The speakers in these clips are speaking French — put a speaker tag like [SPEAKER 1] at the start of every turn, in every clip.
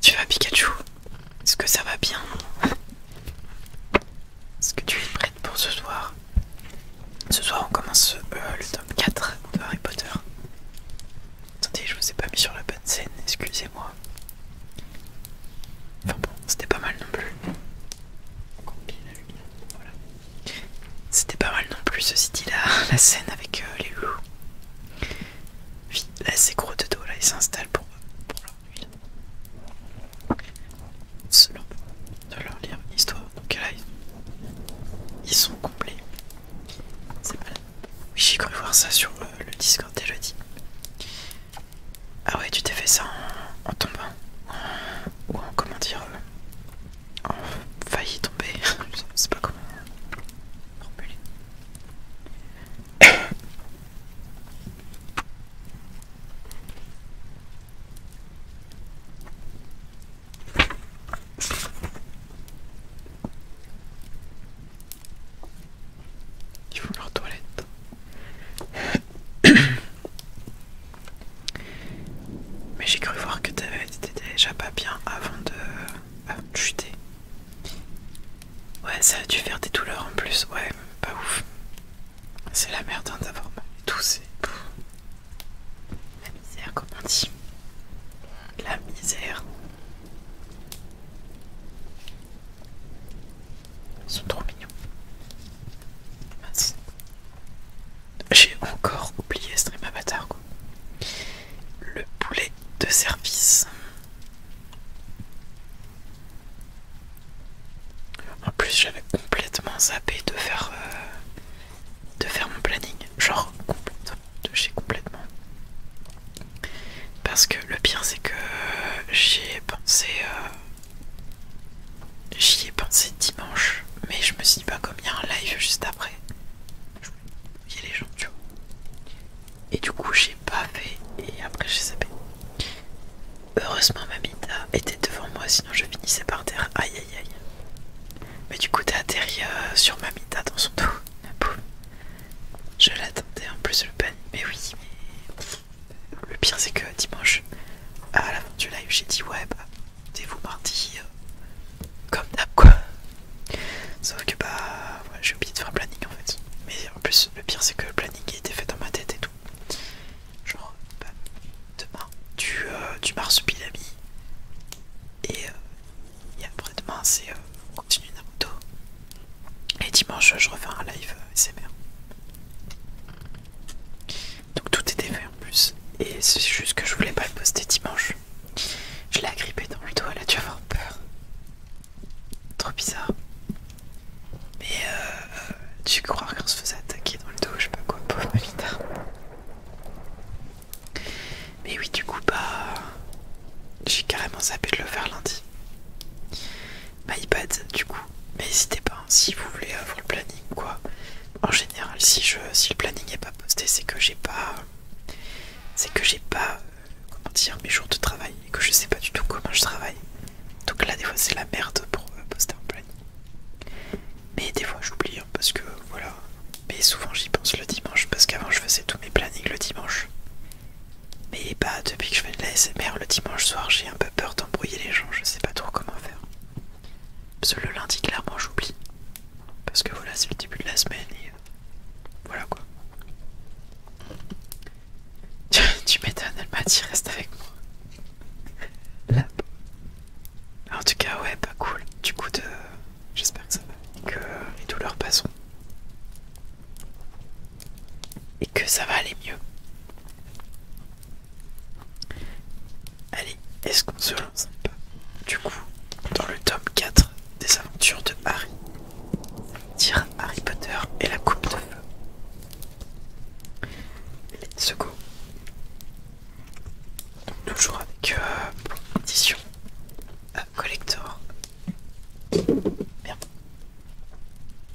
[SPEAKER 1] Tu vas Pikachu Est-ce que ça va bien Est-ce que tu es prête pour ce soir Ce soir on commence euh, le tome 4 de Harry Potter. Attendez, je vous ai pas mis sur la bonne scène, excusez-moi. Enfin bon, c'était pas mal non plus. C'était pas mal non plus, ceci dit, la, la scène avec euh, les loups. là, c'est gros de dos, là, ils s'installent pour, pour leur huile. de leur lire histoire. Donc là, ils, sont complets. C'est mal. Oui, j'ai cru voir ça sur euh, le Discord dès jeudi. Ah ouais, tu t'es fait ça en, tombant. ou en, comment dire, euh, failli tomber. Je sais pas comment formuler. Ils font leur toilette. Mais j'ai cru voir que t'avais été déjà pas bien avant de, chuter. Ouais, ça a dû faire des douleurs en plus. Ouais, pas ouf. C'est la merde hein, d'avoir mal et tout, c'est. La misère, comme on dit. La misère. Ils sont trop mignons. J'ai encore oublié stream avatar Le poulet de service. En plus j'avais complètement zappé de faire euh, de faire mon planning. Genre complètement complètement. Parce que le pire c'est que j'ai pensé euh, J'y ai pensé dimanche, mais je me suis dit, pas bah, comme un live juste après, il y a les gens, tu vois. Et du coup, j'ai pas fait et après, j'ai sapé. Heureusement, Mamita était devant moi, sinon je finissais par terre. Aïe aïe aïe. Mais du coup, t'as atterri euh, sur Mamita dans son dos. Je l'attendais en plus, le panier. Mais oui, mais. Le pire, c'est que dimanche, à la du live, j'ai dit ouais, bah vous mardi euh, comme d'hab quoi. Sauf que bah j'ai oublié de faire un planning en fait. Mais en plus le pire c'est que le planning était fait dans ma tête et tout. Genre bah, demain tu du euh, marsupilami euh, et, après demain c'est on continue Naruto. Et dimanche je refais un live SMR. Donc tout était fait en plus. Et c'est juste que je voulais pas le poster dimanche. Je l'ai agrippé dans le dos, elle a dû avoir peur. Trop bizarre. Mais euh, euh, tu crois qu'on se faisait attaquer dans le dos, je sais pas quoi, pauvre Mais oui, du coup, bah. J'ai carrément zappé de le faire lundi. iPad, du coup. Mais n'hésitez pas, hein, si vous voulez avoir le planning, quoi en général si je si le planning n'est pas posté c'est que j'ai pas c'est que j'ai pas euh, comment dire mes jours de travail et que je sais pas du tout comment je travaille donc là des fois c'est la merde pour euh, poster un planning mais des fois j'oublie hein, parce que voilà mais souvent j'y pense le dimanche parce qu'avant je faisais tous mes plannings le dimanche mais bah depuis que je fais de la le dimanche soir j'ai un peu peur d'embrouiller les gens je sais pas trop comment faire parce que le lundi, clairement, j'oublie. Parce que voilà, c'est le début de la semaine et. Euh, voilà quoi. tu m'étonnes, elle m'a dit reste avec moi. Là. En tout cas, ouais, pas cool. Du coup, de... j'espère que ça va. Que les douleurs passent Et que ça va aller mieux. Allez, est-ce qu'on se lance un Du coup, dans le tome 4 des aventures de Harry, dire Harry Potter et la coupe de feu. Let's go. Donc, toujours avec Bon, euh, édition euh, collector. Merde.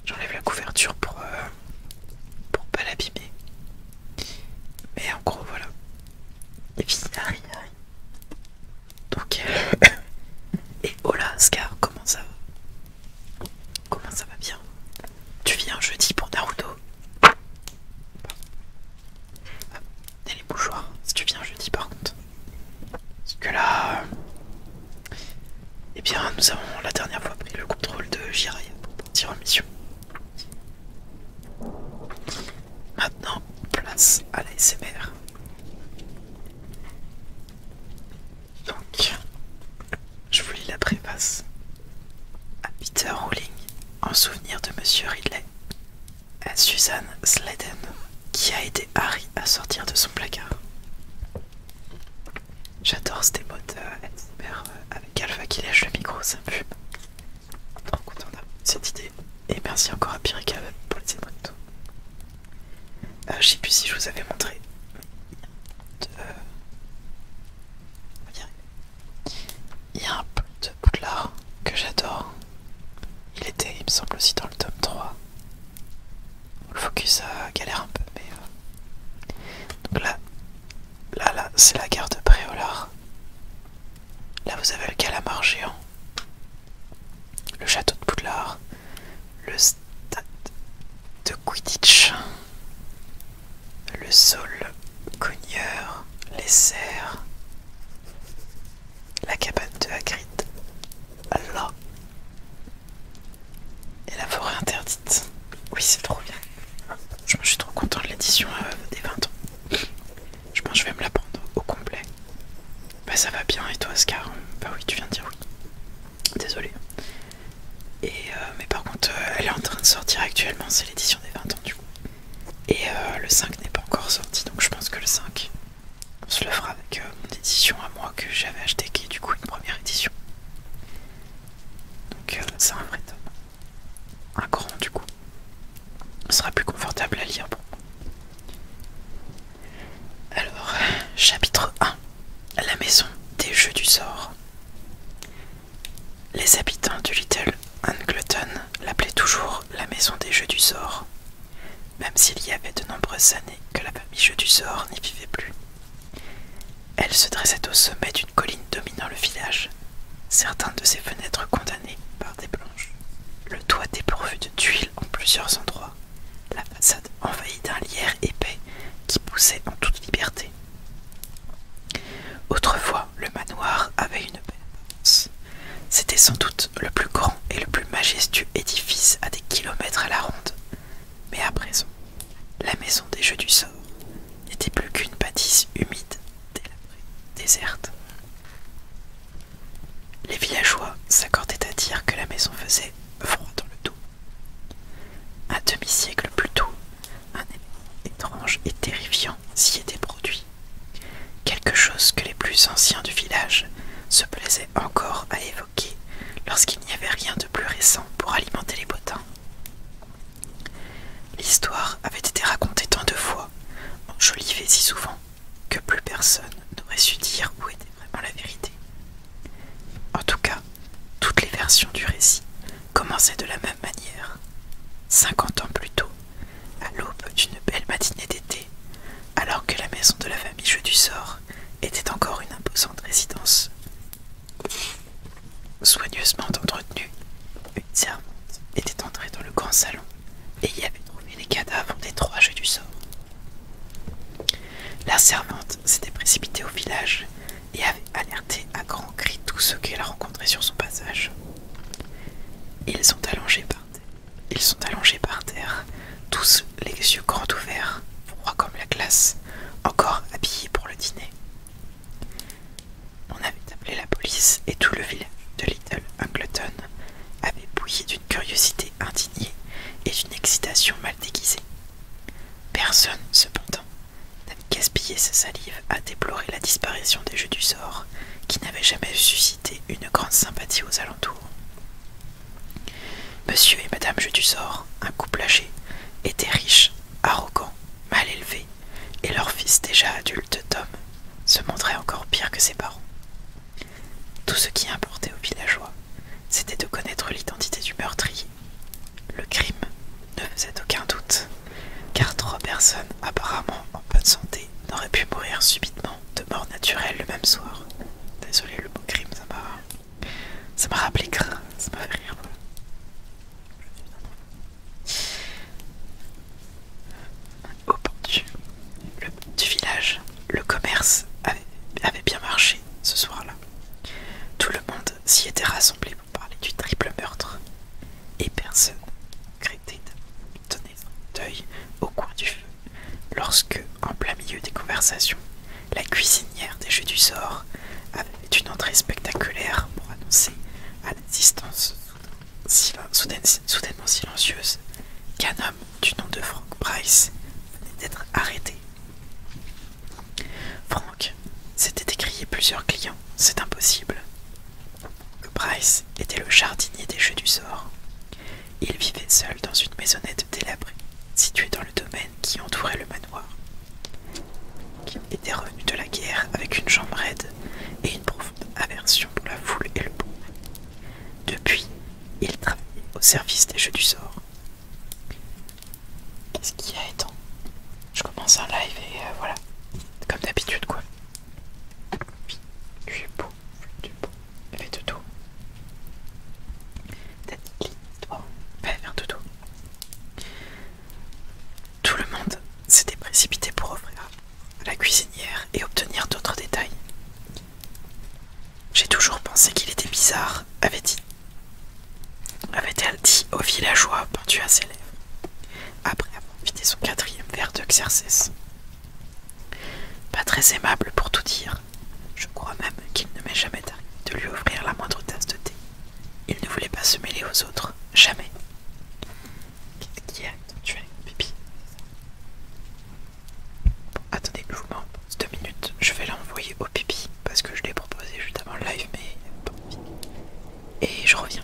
[SPEAKER 1] J'enlève la couverture pour, euh, pour pas l'abîmer. Mais en gros, voilà. Et puis Donc. Euh, et hola, Scar, comment ça va Comment ça va bien Tu viens jeudi pour Naruto Et les bougeoirs. si tu viens jeudi par contre. Parce que là. Euh, eh bien, nous avons la dernière fois pris le contrôle de Jiraiya pour partir en mission. Maintenant, place à la SMR. Donc, je vous lis la préface. À Peter Rowling, en souvenir de Monsieur Ridley. À Suzanne Sledden qui a aidé Harry à sortir de son placard. J'adore ces modes SMR euh, avec Alpha qui lèche le micro, c'est un fois cette idée. Et merci encore à Pirikab pour les tout. Euh, je sais si je vous avais montré. Euh, il y a un peu de l'art que j'adore. Il était, il me semble, aussi dans le tome 3. Le focus euh, galère un peu, mais. Euh. Donc là, là, là c'est la gare de Préolard. Là, vous avez le calamar géant, le château de Poudlard, le stade de Quidditch, le sol cogneur, les serres, la cabane de Hagrid, là, et la forêt interdite. Oui, c'est trop bien. Je me suis trop content de l'édition euh, des 20 ans. Je pense que je vais me la prendre au complet. Bah ça va bien et toi Oscar Bah oui tu viens de dire oui. Désolé. Et euh, mais par contre euh, elle est en train de sortir actuellement, c'est l'édition des 20 ans du coup. Et euh, le 5 n'est pas encore sorti donc je pense que le 5 se le fera avec mon édition à moi que j'avais acheté qui est du coup une première édition. Donc c'est un vrai top un grand, du coup. Ce sera plus confortable à lire bon. Alors, chapitre 1. La maison des jeux du sort. Les habitants du Little Angleton l'appelaient toujours la maison des jeux du sort, même s'il y avait de nombreuses années que la famille Jeux du sort n'y vivait plus. Elle se dressait au sommet d'une colline dominant le village, Certains de ses fenêtres condamnées par des planches, le toit dépourvu de tuiles en plusieurs endroits, la façade envahie d'un lierre épais qui poussait en toute liberté. Autrefois, le manoir avait une belle C'était sans doute le plus grand et le plus majestueux édifice à des kilomètres à la ronde. Mais à présent, la maison des Jeux du Sort n'était plus qu'une bâtisse humide déserte. Les villageois s'accordaient à dire que la maison faisait froid dans le dos. Un demi-siècle plus tôt, un élément étrange et terrifiant s'y était produit. Quelque chose que les plus anciens du village se plaisaient encore à évoquer lorsqu'il n'y avait rien de plus récent pour alimenter les potins. L'histoire avait été racontée tant de fois je si souvent, que plus personne n'aurait su dire où était vraiment la vérité. En tout cas, toutes les versions du récit commençaient de la même manière. Cinquante ans plus tôt, à l'aube d'une belle matinée d'été, alors que la maison de la famille Jeu du Sort était encore une imposante résidence, soigneusement entretenue, une servante était entrée dans le grand salon et y avait trouvé les cadavres des trois jeux du sort. La servante s'était précipitée au village et avait alerté à grands cris tous ceux qu'elle a rencontrait sur son passage. Ils sont allongés par terre. Ils sont allongés par terre, tous les yeux grands ouverts, froids comme la glace, encore habillés pour le dîner. On avait appelé la police et tout le village de Little Angleton avait bouilli d'une curiosité indignée et d'une excitation mal déguisée. Personne, cependant, n'a gaspillé sa salive à déplorer la disparition des jeux du sort qui n'avaient jamais suscité une grande sympathie aux alentours. Monsieur et Madame Jeu du Sort, un couple âgé, étaient riches, arrogants, mal élevés, et leur fils déjà adulte Tom se montrait encore pire que ses parents. Tout ce qui importait aux villageois, c'était de connaître l'identité du meurtrier. Le crime ne faisait aucun doute, car trois personnes apparemment en bonne santé n'auraient pu mourir subitement de mort naturelle le même soir. Désolé le mot crime, ça m'a... ça m'a rappelé ça m'a fait rire. Au bord du, village, le commerce avait, bien marché ce soir-là. Tout le monde s'y était rassemblé pour parler du triple meurtre. Et personne crêtait de donner un deuil au coin du feu lorsque, en plein milieu des conversations, la cuisinière des Jeux du sort avait une entrée spectaculaire pour annoncer à distance soudainement silencieuse, qu'un homme du nom de Frank Price venait d'être arrêté. Frank s'était écrié plusieurs clients, c'est impossible. Bryce Price était le jardinier des jeux du sort. Il vivait seul dans une maisonnette délabrée, située dans le domaine qui entourait le manoir. Il était revenu de la guerre avec une jambe raide et une profonde aversion pour la foule et le pauvre. Depuis, il travaille au service des jeux du sort. Qu'est-ce qu'il y a étant Je commence un live et euh, voilà. Comme d'habitude quoi. Oui, tu es beau, tu es beau. Fais tout. toi. toi Fais un Toto. Tout le monde s'était précipité pour offrir la cuisinière et obtenir d'autres détails. J'ai toujours pensé qu'il était bizarre, avait avait-elle dit au villageois pendu à ses lèvres, après avoir vidé son quatrième verre de Pas très aimable pour tout dire. Je crois même qu'il ne m'est jamais arrivé de lui offrir la moindre tasse de thé. Il ne voulait pas se mêler aux autres, jamais. Qui a tué Pipi Attendez, je vous mens. Deux minutes, je vais l'envoyer au Pipi parce que je l'ai proposé juste avant le live, mais Et je reviens.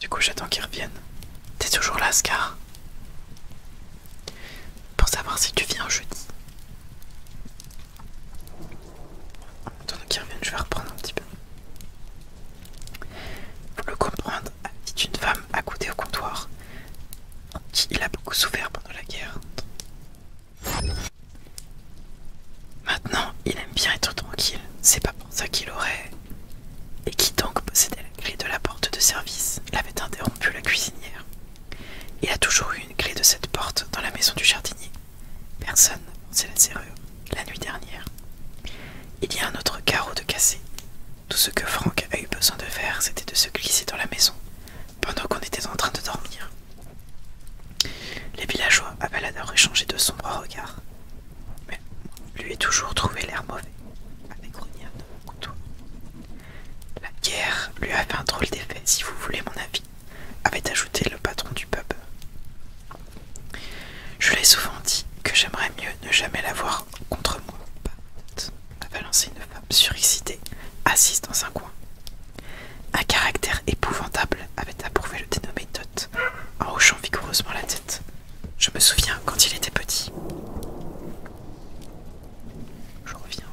[SPEAKER 1] Du coup, j'attends qu'il revienne. T'es toujours là, Scar Pour savoir si tu viens jeudi. Attends je vais reprendre un petit peu. Pour le comprendre, dit une femme accoudée au comptoir. Il a beaucoup souffert pendant la guerre. Maintenant, il aime bien être tranquille. C'est pas pour ça qu'il aurait. Et qui donc possédait la clé de la porte de service l'avait interrompu la cuisinière. Il a toujours eu une clé de cette porte dans la maison du jardinier. Personne, c'est la sérieux, la nuit dernière. Il y a un autre carreau de cassé. Tout ce que Franck a eu besoin de faire, c'était de se glisser dans la maison, pendant qu'on était en train de dormir. Les villageois avaient alors échangé de sombres regards, mais lui est toujours trouvé l'air mauvais, avec La guerre lui a fait un drôle d'effet, si vous voulez mon avis, avait ajouté le patron du pub. Je l'ai souvent dit que j'aimerais mieux ne jamais l'avoir contre moi. Babette a balancé une femme surexcitée, assise dans un coin. Un caractère épouvantable avait approuvé le dénommé Tot, en hochant vigoureusement la tête. Je me souviens quand il était petit. Je reviens.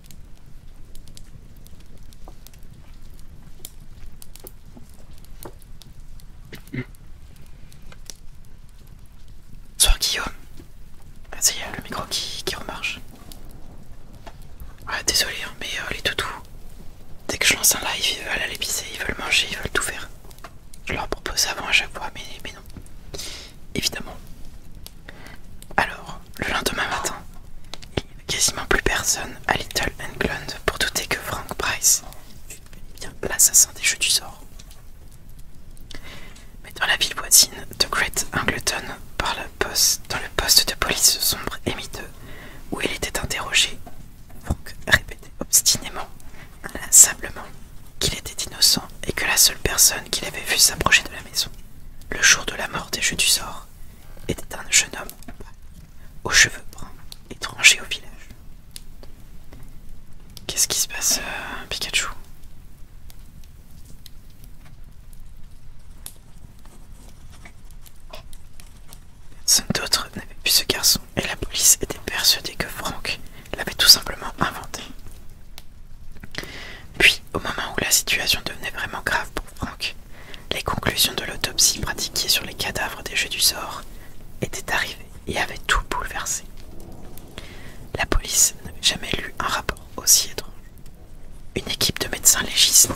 [SPEAKER 1] Bonsoir Guillaume. Ah, ça y le micro qui, remarche. désolé, hein, mais euh, les toutous, dès que je lance un live, ils veulent aller pisser, ils veulent manger, ils veulent tout faire. Je leur propose avant à chaque fois, mais, mais non. Évidemment. Alors, le lendemain matin, quasiment plus personne à Little England pour douter que Frank Price est bien l'assassin des jeux du sort. Mais dans la ville voisine de Great Angleton, par la poste, dans le poste de police sombre et miteux où il était interrogé, Frank répétait obstinément, inlassablement, qu'il était innocent et que la seule personne qu'il avait vue s'approcher de la maison le jour de la mort des jeux du sort était un jeune homme aux cheveux bruns, étranger au village. Qu'est-ce qui se passe, euh, Pikachu Personne d'autre n'avait plus ce garçon et la police était persuadée que franck l'avait tout simplement inventé. Puis au moment où la situation devenait vraiment grave pour Franck, les conclusions de l'autopsie pratiquée sur les cadavres des Jeux du sort étaient arrivées et avaient tout bouleversé. La police n'avait jamais lu un rapport aussi étrange. Une équipe de médecins légistes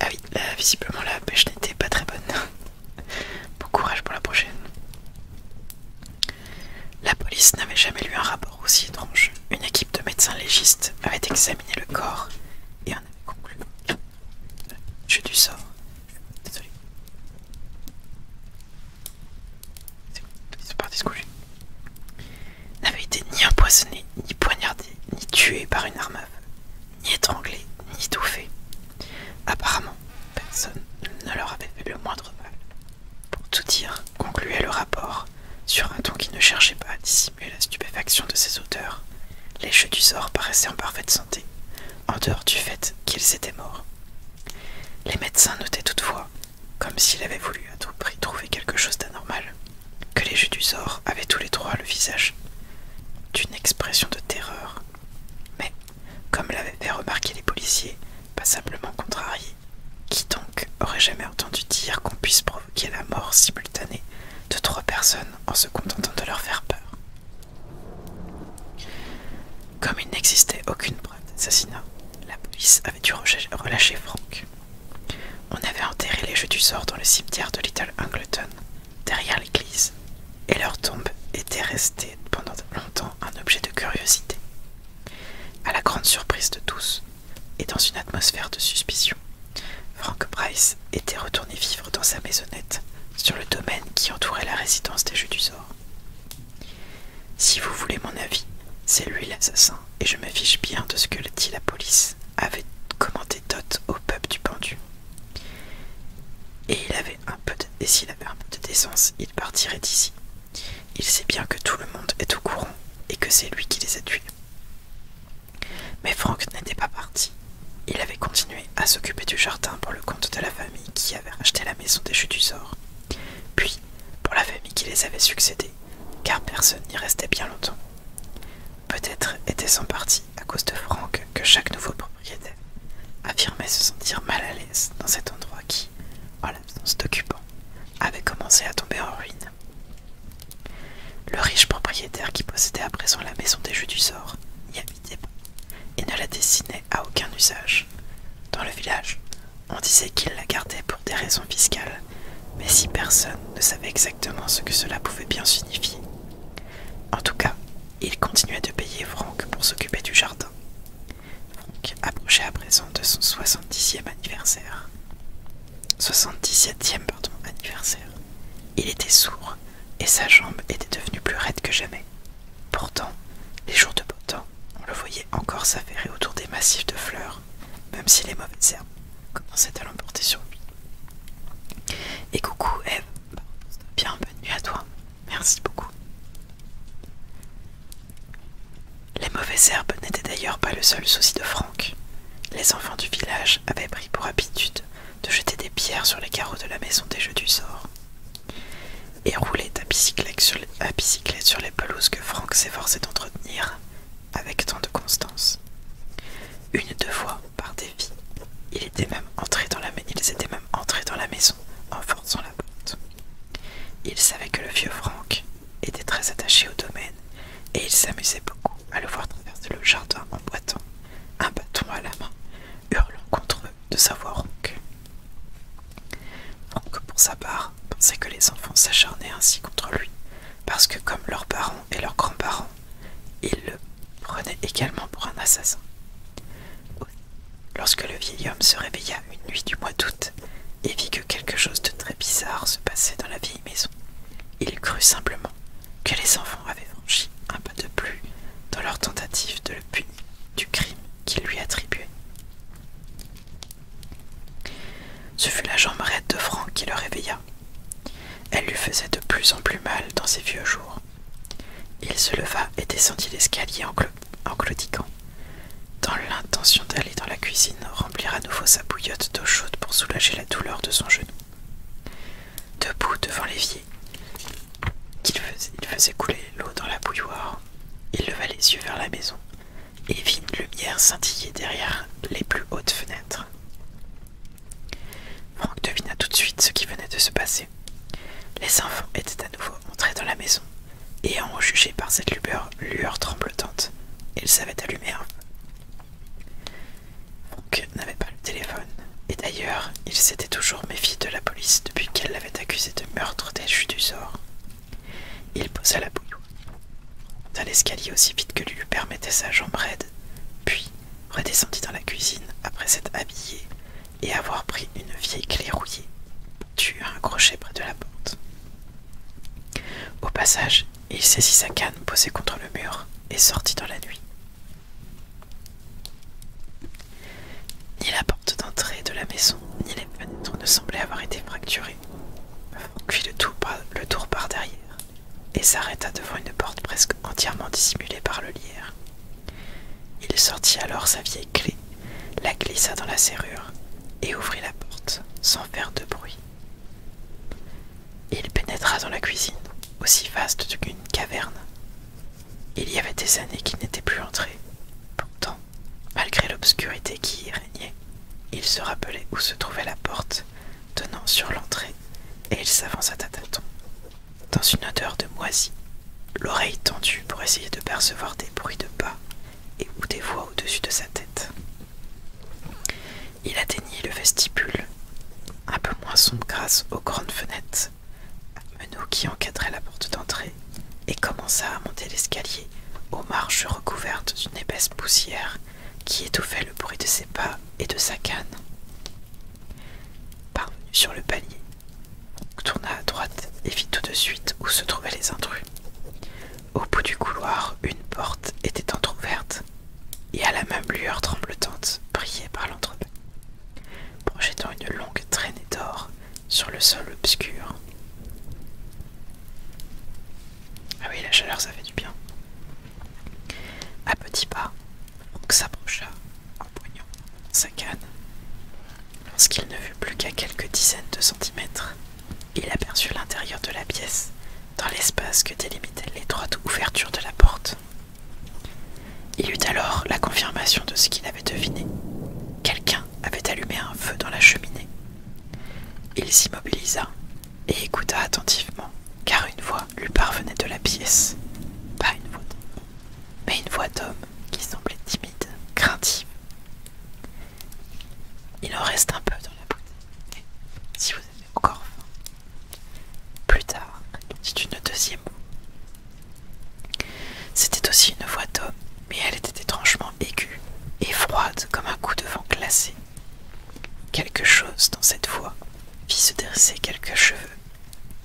[SPEAKER 1] ah oui, visiblement la pêche n'était pas très bonne. bon courage pour la prochaine. La police n'avait jamais lu un rapport aussi étrange. Une équipe de médecins légistes avait examiné le corps et en avait conclu. J'ai du sort. Désolé. Ils été ni empoisonné, ni poignardé, ni tué par une arme à ni étranglés, ni étouffés. Apparemment, personne ne leur avait fait le moindre mal. Pour tout dire, concluait le rapport, sur un ton qui ne cherchait pas à dissimuler la stupéfaction de ses auteurs, les jeux du sort paraissaient en parfaite santé, en dehors du fait qu'ils étaient morts. Les médecins notaient toutefois comme s'il avait voulu à tout prix trouver quelque chose d'anormal, que les jeux du sort avaient tous les trois le visage d'une expression de terreur. Mais, comme l'avaient fait remarquer les policiers, passablement contrariés, qui donc aurait jamais entendu dire qu'on puisse provoquer la mort simultanée de trois personnes en se contentant de leur faire peur Comme il n'existait aucune la police avait dû relâcher Frank. On avait enterré les jeux du sort dans le cimetière de Little Angleton, derrière l'église, et leur tombe était restée pendant longtemps un objet de curiosité, à la grande surprise de tous, et dans une atmosphère de suspicion. Frank Price était retourné vivre dans sa maisonnette sur le domaine qui entourait la résidence des Jeux du Sort. Si vous voulez mon avis, c'est lui l'assassin, et je me fiche bien de ce que dit la police, avait commenté Dot au peuple du pendu. Et il avait un peu de, et s'il avait un peu de décence, il partirait d'ici. Il sait bien que tout le monde est au courant et que c'est lui qui les a tués. Mais Franck n'était pas parti. Il avait continué à s'occuper du jardin pour le compte de la famille qui avait racheté la maison des du Sort. Puis pour la famille qui les avait succédé, car personne n'y restait bien longtemps. Peut-être était-ce en partie à cause de Franck que chaque nouveau propriétaire affirmait se sentir mal à l'aise dans cet endroit qui, en l'absence d'occupants, avait commencé à tomber en ruine. Le riche propriétaire qui possédait à présent la maison des Jeux du Sort n'y habitait pas et ne la dessinait à aucun usage. Dans le village, on disait qu'il la gardait pour des raisons fiscales, mais si personne ne savait exactement ce que cela pouvait bien signifier. En tout cas, il continuait de payer Franck pour s'occuper du jardin. Franck approchait à présent de son 70e anniversaire. 77e, pardon, anniversaire. Il était sourd et sa jambe était devenue plus raide que jamais. Pourtant, les jours de beau temps, on le voyait encore s'affairer autour des massifs de fleurs, même si les mauvaises herbes commençaient à l'emporter sur lui. Et coucou, Eve, bah, bienvenue à toi, merci beaucoup. Les mauvaises herbes n'étaient d'ailleurs pas le seul souci de Franck. Les enfants du village avaient pris pour habitude de jeter des pierres sur les carreaux de la maison des Jeux du Sort et roulait à bicyclette sur les, pelouses que Franck s'efforçait d'entretenir avec tant de constance. Une deux fois, par défi, il était même entré dans la, ils étaient même entrés dans la maison en forçant la porte. Il savait que le vieux Franck était très attaché au domaine et il s'amusait beaucoup à le voir traverser le jardin en boitant, un bâton à la main, hurlant contre eux de sa voix donc pour sa part, pensait que les enfants s'acharnaient ainsi contre lui, parce que comme leurs parents et leurs grands-parents, Ils le prenaient également pour un assassin. Lorsque le vieil homme se réveilla une nuit du mois d'août et vit que quelque chose de très bizarre se passait dans la vieille maison, il crut simplement que les enfants avaient franchi un peu de plus dans leur tentative de le punir du crime qu'il lui attribuait. Ce fut la jambe raide de Franck qui le réveilla. Elle lui faisait de plus en plus mal dans ses vieux jours. Il se leva et descendit l'escalier en, en dans l'intention d'aller dans la cuisine remplir à nouveau sa bouillotte d'eau chaude pour soulager la douleur de son genou. Debout devant l'évier, il faisait couler l'eau dans la bouilloire, il leva les yeux vers la maison et vit une lumière scintiller derrière les plus hautes fenêtres. Franck devina tout de suite ce qui venait de se passer. Les enfants étaient à nouveau entrés dans la maison, et en jugé par cette lueur, lueur tremblotante, ils savaient allumer un feu. n'avait pas le téléphone, et d'ailleurs, il s'était toujours méfié de la police depuis qu'elle l'avait accusé de meurtre des du sort. Il posa la bouilloire dans l'escalier aussi vite que lui permettait sa jambe raide, puis redescendit dans la cuisine après s'être habillé et avoir pris une vieille clé rouillée, tuer un crochet près de la porte. Au passage, il saisit sa canne posée contre le mur et sortit dans la nuit. Ni la porte d'entrée de la maison, ni les fenêtres ne semblaient avoir été fracturées. Cuit le tour, le tour par derrière et s'arrêta devant une porte presque entièrement dissimulée par le lierre. Il sortit alors sa vieille clé, la glissa dans la serrure et ouvrit la porte sans faire de bruit. Il pénétra dans la cuisine, aussi vaste qu'une caverne. Il y avait des années qu'il n'était plus entré. Pourtant, Malgré l'obscurité qui y régnait, il se rappelait où se trouvait la porte donnant sur l'entrée, et il s'avança à tâtons. Dans une odeur de moisie, l'oreille tendue pour essayer de percevoir des bruits de pas et ou des voix au-dessus de sa tête. Il atteignit le vestibule, un peu moins sombre grâce aux grandes fenêtres, à meneaux qui encadraient la porte d'entrée et commença à monter l'escalier aux marches recouvertes d'une épaisse poussière qui étouffait le bruit de ses pas et de sa canne. Parvenu sur le palier, tourna à droite et vit tout de suite où se trouvaient les intrus. Au bout du couloir, une porte était entr'ouverte, et à la même lueur tremblotante brillait par l'entrepôt. Projetant une longue traînée d'or, sur le sol obscur. Ah oui, la chaleur, ça fait du bien. À petits pas, on s'approcha en poignant sa canne. Lorsqu'il ne fut plus qu'à quelques dizaines de centimètres, il aperçut l'intérieur de la pièce dans l'espace que délimitait l'étroite ouverture de la porte. Il eut alors la confirmation de ce qu'il avait deviné. Quelqu'un avait allumé un feu dans la cheminée il s'immobilisa et écouta attentivement, car une voix lui parvenait de la pièce. Pas une voix d'homme, mais une voix d'homme qui semblait timide, craintive. Il en reste un peu dans la bouteille, si vous avez encore faim. Plus tard, dit une deuxième C'était aussi une voix d'homme, mais elle était étrangement aiguë et froide comme un coup de vent glacé. Quelque chose dans cette voix fit se dresser quelques cheveux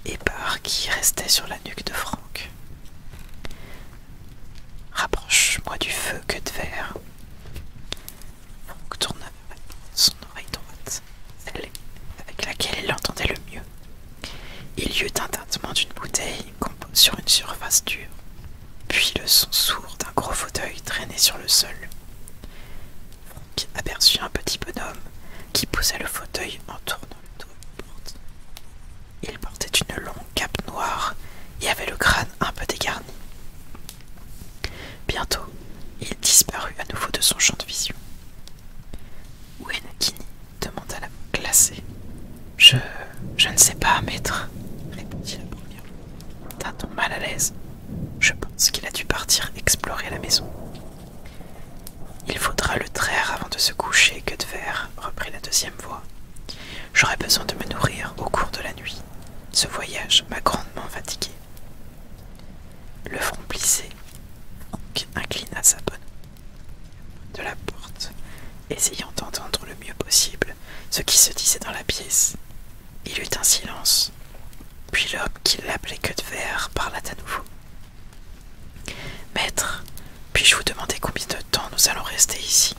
[SPEAKER 1] épars qui restaient sur la nuque de Franck. Rapproche-moi du feu, que de verre. Franck tourna son oreille droite, celle avec laquelle il entendait le mieux. Il y eut un tintement d'une bouteille sur une surface dure. Puis le son sourd d'un gros fauteuil traîné sur le sol. Monk aperçut un petit bonhomme qui posait le fauteuil en tournant le dos porte. Il portait une longue cape noire et avait le crâne un peu dégarni. Bientôt, il disparut à nouveau de son champ de vision. Où est demanda la glacée. Je. je ne sais pas, maître, répondit la première. D'un ton mal à l'aise, je pense qu'il a dû partir explorer la maison. Il faudra le traire avant de se coucher, que de faire, reprit la deuxième voix. J'aurai besoin de me nourrir au cours de la nuit. Ce voyage m'a grandement fatigué. Le front plissé, Franck inclina sa bonne de la porte, essayant d'entendre le mieux possible ce qui se disait dans la pièce. Il eut un silence, puis l'homme qui l'appelait que de verre parla à nouveau. Maître, puis-je vous demander combien de temps nous allons rester ici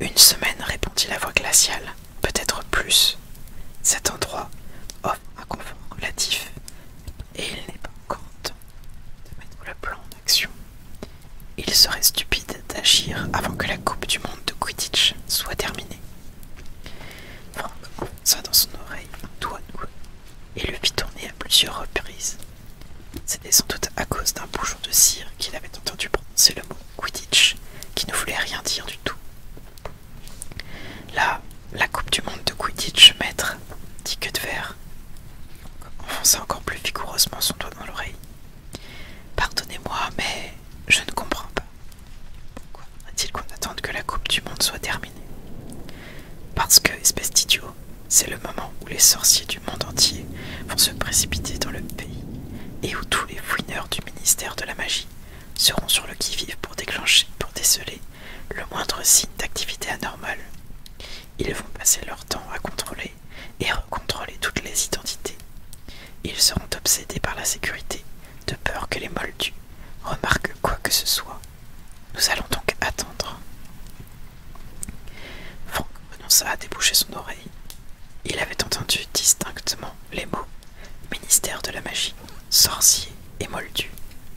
[SPEAKER 1] Une semaine, répondit la voix glaciale, peut-être plus. Cet endroit offre oh, un confort relatif, et il n'est pas encore temps de mettre le plan en action. Il serait stupide d'agir avant que la Coupe du Monde de Quidditch soit terminée. Franck enfonça dans son oreille un doigt et le fit tourner à plusieurs reprises. C'était sans doute à cause d'un bouchon de cire qu'il avait entendu prononcer le mot Quidditch, qui ne voulait rien dire du tout. Là, la Coupe du Monde de Quidditch, maître, dit que de verre enfonça encore plus vigoureusement son doigt dans l'oreille. Pardonnez-moi, mais je ne comprends pas. Pourquoi a il qu'on attende que la Coupe du Monde soit terminée Parce que, espèce d'idiot, c'est le moment où les sorciers du monde entier vont se précipiter dans le pays et où tous les fouineurs du ministère de la magie seront sur le qui-vive pour déclencher, pour déceler le moindre signe d'activité anormale. Ils vont passer leur temps à contrôler et recontrôler toutes les identités. Ils seront obsédés par la sécurité, de peur que les moldus remarquent quoi que ce soit. Nous allons donc attendre. Franck renonça à déboucher son oreille. Il avait entendu distinctement les mots ministère de la magie, sorcier et Moldus.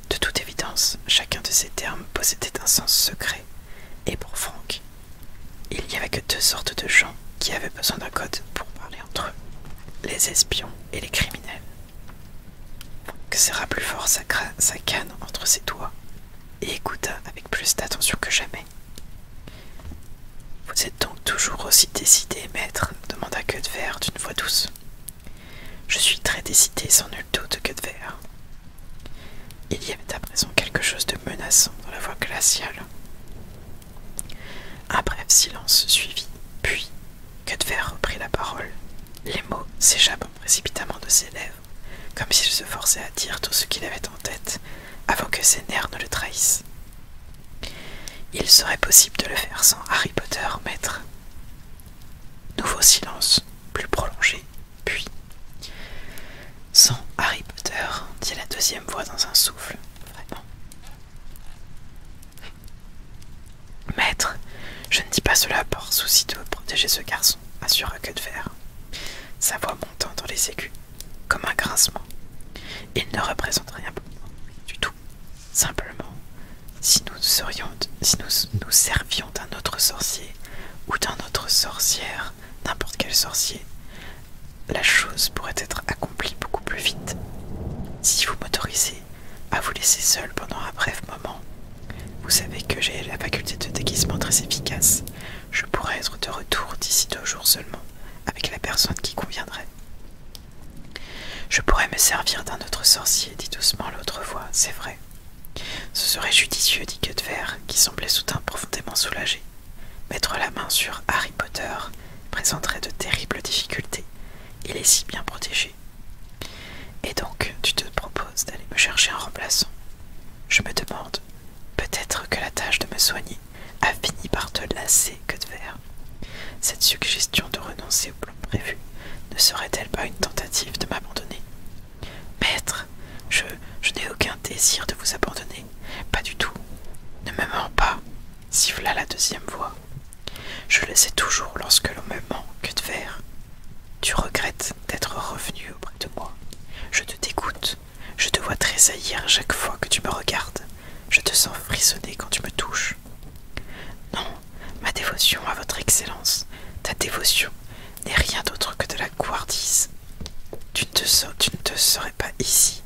[SPEAKER 1] De toute évidence, chacun de ces termes possédait un sens secret, et pour Franck, il n'y avait que deux sortes de gens qui avaient besoin d'un code pour parler entre eux, les espions et les criminels. Que serra plus fort sa, canne entre ses doigts et écouta avec plus d'attention que jamais. Vous êtes donc toujours aussi décidé, maître demanda Verre d'une voix douce. Je suis très décidé, sans nul doute, Verre. Il y avait à présent quelque chose de menaçant dans la voix glaciale. Un bref silence suivit, puis Cutver reprit la parole. Les mots s'échappant précipitamment de ses lèvres, comme s'il se forçait à dire tout ce qu'il avait en tête avant que ses nerfs ne le trahissent. Il serait possible de le faire sans Harry Potter, maître. Nouveau silence, plus prolongé, puis sans Harry Potter, dit la deuxième voix dans un souffle. Vraiment. Maître, je ne dis pas cela par souci de protéger ce garçon, de fer. Sa voix montant dans les aigus, comme un grincement. Il ne représente rien pour moi, du tout. Simplement, si nous si nous nous servions d'un autre sorcier ou d'un autre sorcière, n'importe quel sorcier, la chose pourrait être accomplie beaucoup plus vite. Si vous m'autorisez à vous laisser seul pendant un bref moment, vous savez que j'ai la faculté de déguisement très efficace. Je pourrais être de retour d'ici deux jours seulement, avec la personne qui conviendrait. Je pourrais me servir d'un autre sorcier, dit doucement l'autre voix, c'est vrai. Ce serait judicieux, dit Cuthbert, qui semblait soudain profondément soulagé. Mettre la main sur Harry Potter présenterait de terribles difficultés. Il est si bien protégé. Et donc, tu te proposes d'aller me chercher un remplaçant. Je me demande, peut-être que la tâche de me soigner a fini par te lasser que de faire. Cette suggestion de renoncer au plan prévu ne serait-elle pas une tentative de m'abandonner Maître, je, n'ai aucun désir de vous abandonner. Pas du tout. Ne me mens pas, siffla la deuxième voix. Je le sais toujours lorsque l'on me manque de verre. Tu regrettes d'être revenu auprès de moi. Je te dégoûte. Je te vois tressaillir chaque fois que tu me regardes. Je te sens frissonner quand tu me touches. Non, ma dévotion à votre excellence, ta dévotion n'est rien d'autre que de la Tu tu, ne te serais pas ici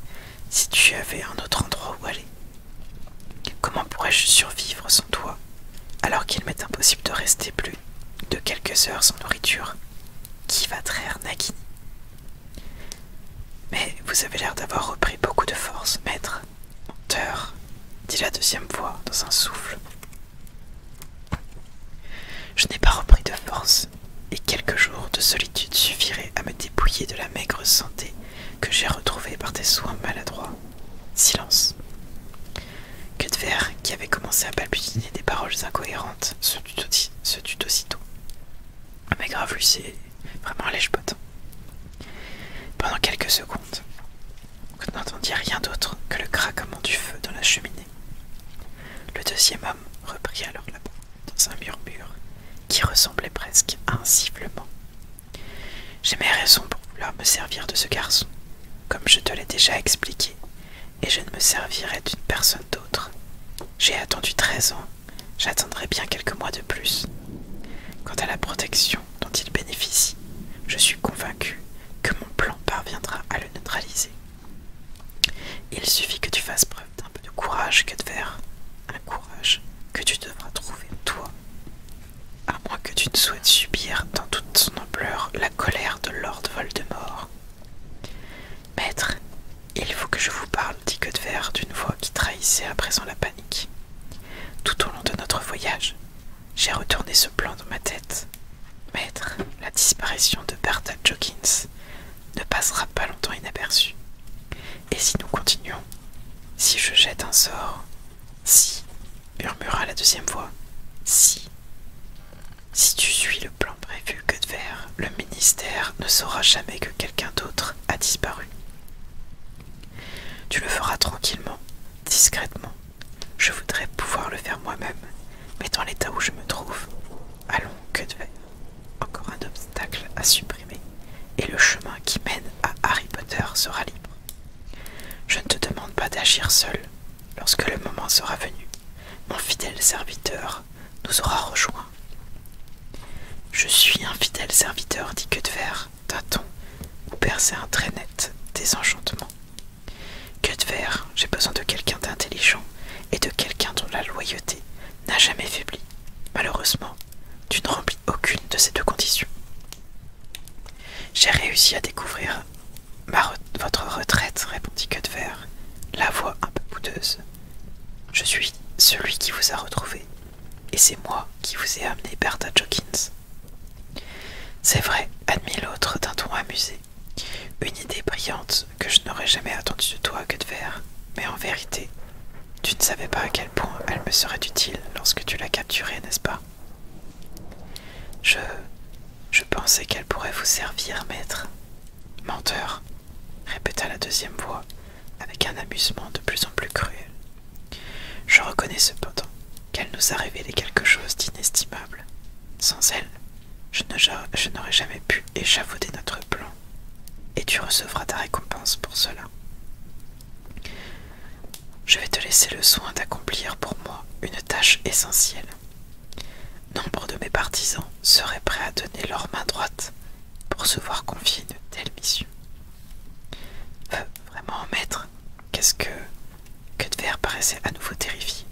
[SPEAKER 1] si tu avais un autre endroit où aller. Comment pourrais-je survivre sans toi alors qu'il m'est impossible de rester plus de quelques heures sans nourriture Qui va traire Nagini Mais vous avez l'air d'avoir repris beaucoup de force, maître. Menteur, dit la deuxième voix dans un souffle. Je n'ai pas repris de force, et quelques jours de solitude suffiraient à me dépouiller de la maigre santé que j'ai retrouvée par tes soins maladroits. Silence. verre, qui avait commencé à balbutiner des paroles incohérentes, se tut, aussitôt. Mais grave, lui, vraiment un lèche -potin. Pendant quelques secondes, on n'entendit rien d'autre que le craquement du feu dans la cheminée. Le deuxième homme reprit alors la dans un murmure qui ressemblait presque à un sifflement. J'ai mes raisons pour vouloir me servir de ce garçon, comme je te l'ai déjà expliqué, et je ne me servirai d'une personne d'autre. J'ai attendu treize ans, j'attendrai bien quelques mois de plus. Quant à la protection dont il bénéficie, je suis convaincu que mon plan parviendra à le neutraliser. Il suffit que tu fasses preuve d'un peu de courage que un courage que tu devras trouver toi, à moins que tu ne souhaites subir dans toute son ampleur la colère de Lord Voldemort. Maître, il faut que je vous parle, dit Godver d'une voix qui trahissait à présent la panique. Tout au long de notre voyage, j'ai retourné ce plan dans ma tête. Maître, la disparition de Bertha Jokins ne passera pas longtemps inaperçu. Et si nous continuons Si je jette un sort Si, murmura la deuxième voix. Si. Si tu suis le plan prévu, que de faire le ministère ne saura jamais que quelqu'un d'autre a disparu. Tu le feras tranquillement, discrètement. Je voudrais pouvoir le faire moi-même, mais dans l'état où je me trouve, allons, que de encore un obstacle à supprimer, et le chemin qui mène à Harry Potter sera libre. Je ne te demande pas d'agir seul. Lorsque le moment sera venu, mon fidèle serviteur nous aura rejoints. Je suis un fidèle serviteur, dit Quetefer, d'un ton où perçait un très net désenchantement. ver j'ai besoin de quelqu'un d'intelligent et de quelqu'un dont la loyauté n'a jamais faibli. Malheureusement, tu ne remplis aucune de ces deux conditions. J'ai réussi à découvrir votre retraite, répondit Cuthbert, la voix un peu poudreuse. Je suis celui qui vous a retrouvé, et c'est moi qui vous ai amené Bertha Jokins. C'est vrai, admit l'autre d'un ton amusé. Une idée brillante que je n'aurais jamais attendue de toi, Cuthbert. Mais en vérité, tu ne savais pas à quel point elle me serait utile lorsque tu l'as capturée, n'est-ce pas Je. Je pensais qu'elle pourrait vous servir, maître. Menteur, répéta la deuxième voix, avec un amusement de plus en plus cruel. Je reconnais cependant qu'elle nous a révélé quelque chose d'inestimable. Sans elle, je n'aurais jamais pu échafauder notre plan, et tu recevras ta récompense pour cela. Je vais te laisser le soin d'accomplir pour moi une tâche essentielle. Nombre de mes partisans seraient prêts à donner leur main droite pour se voir confier de telles missions. Euh, vraiment, maître, qu'est-ce que... Que Cuthbert paraissait à nouveau terrifié.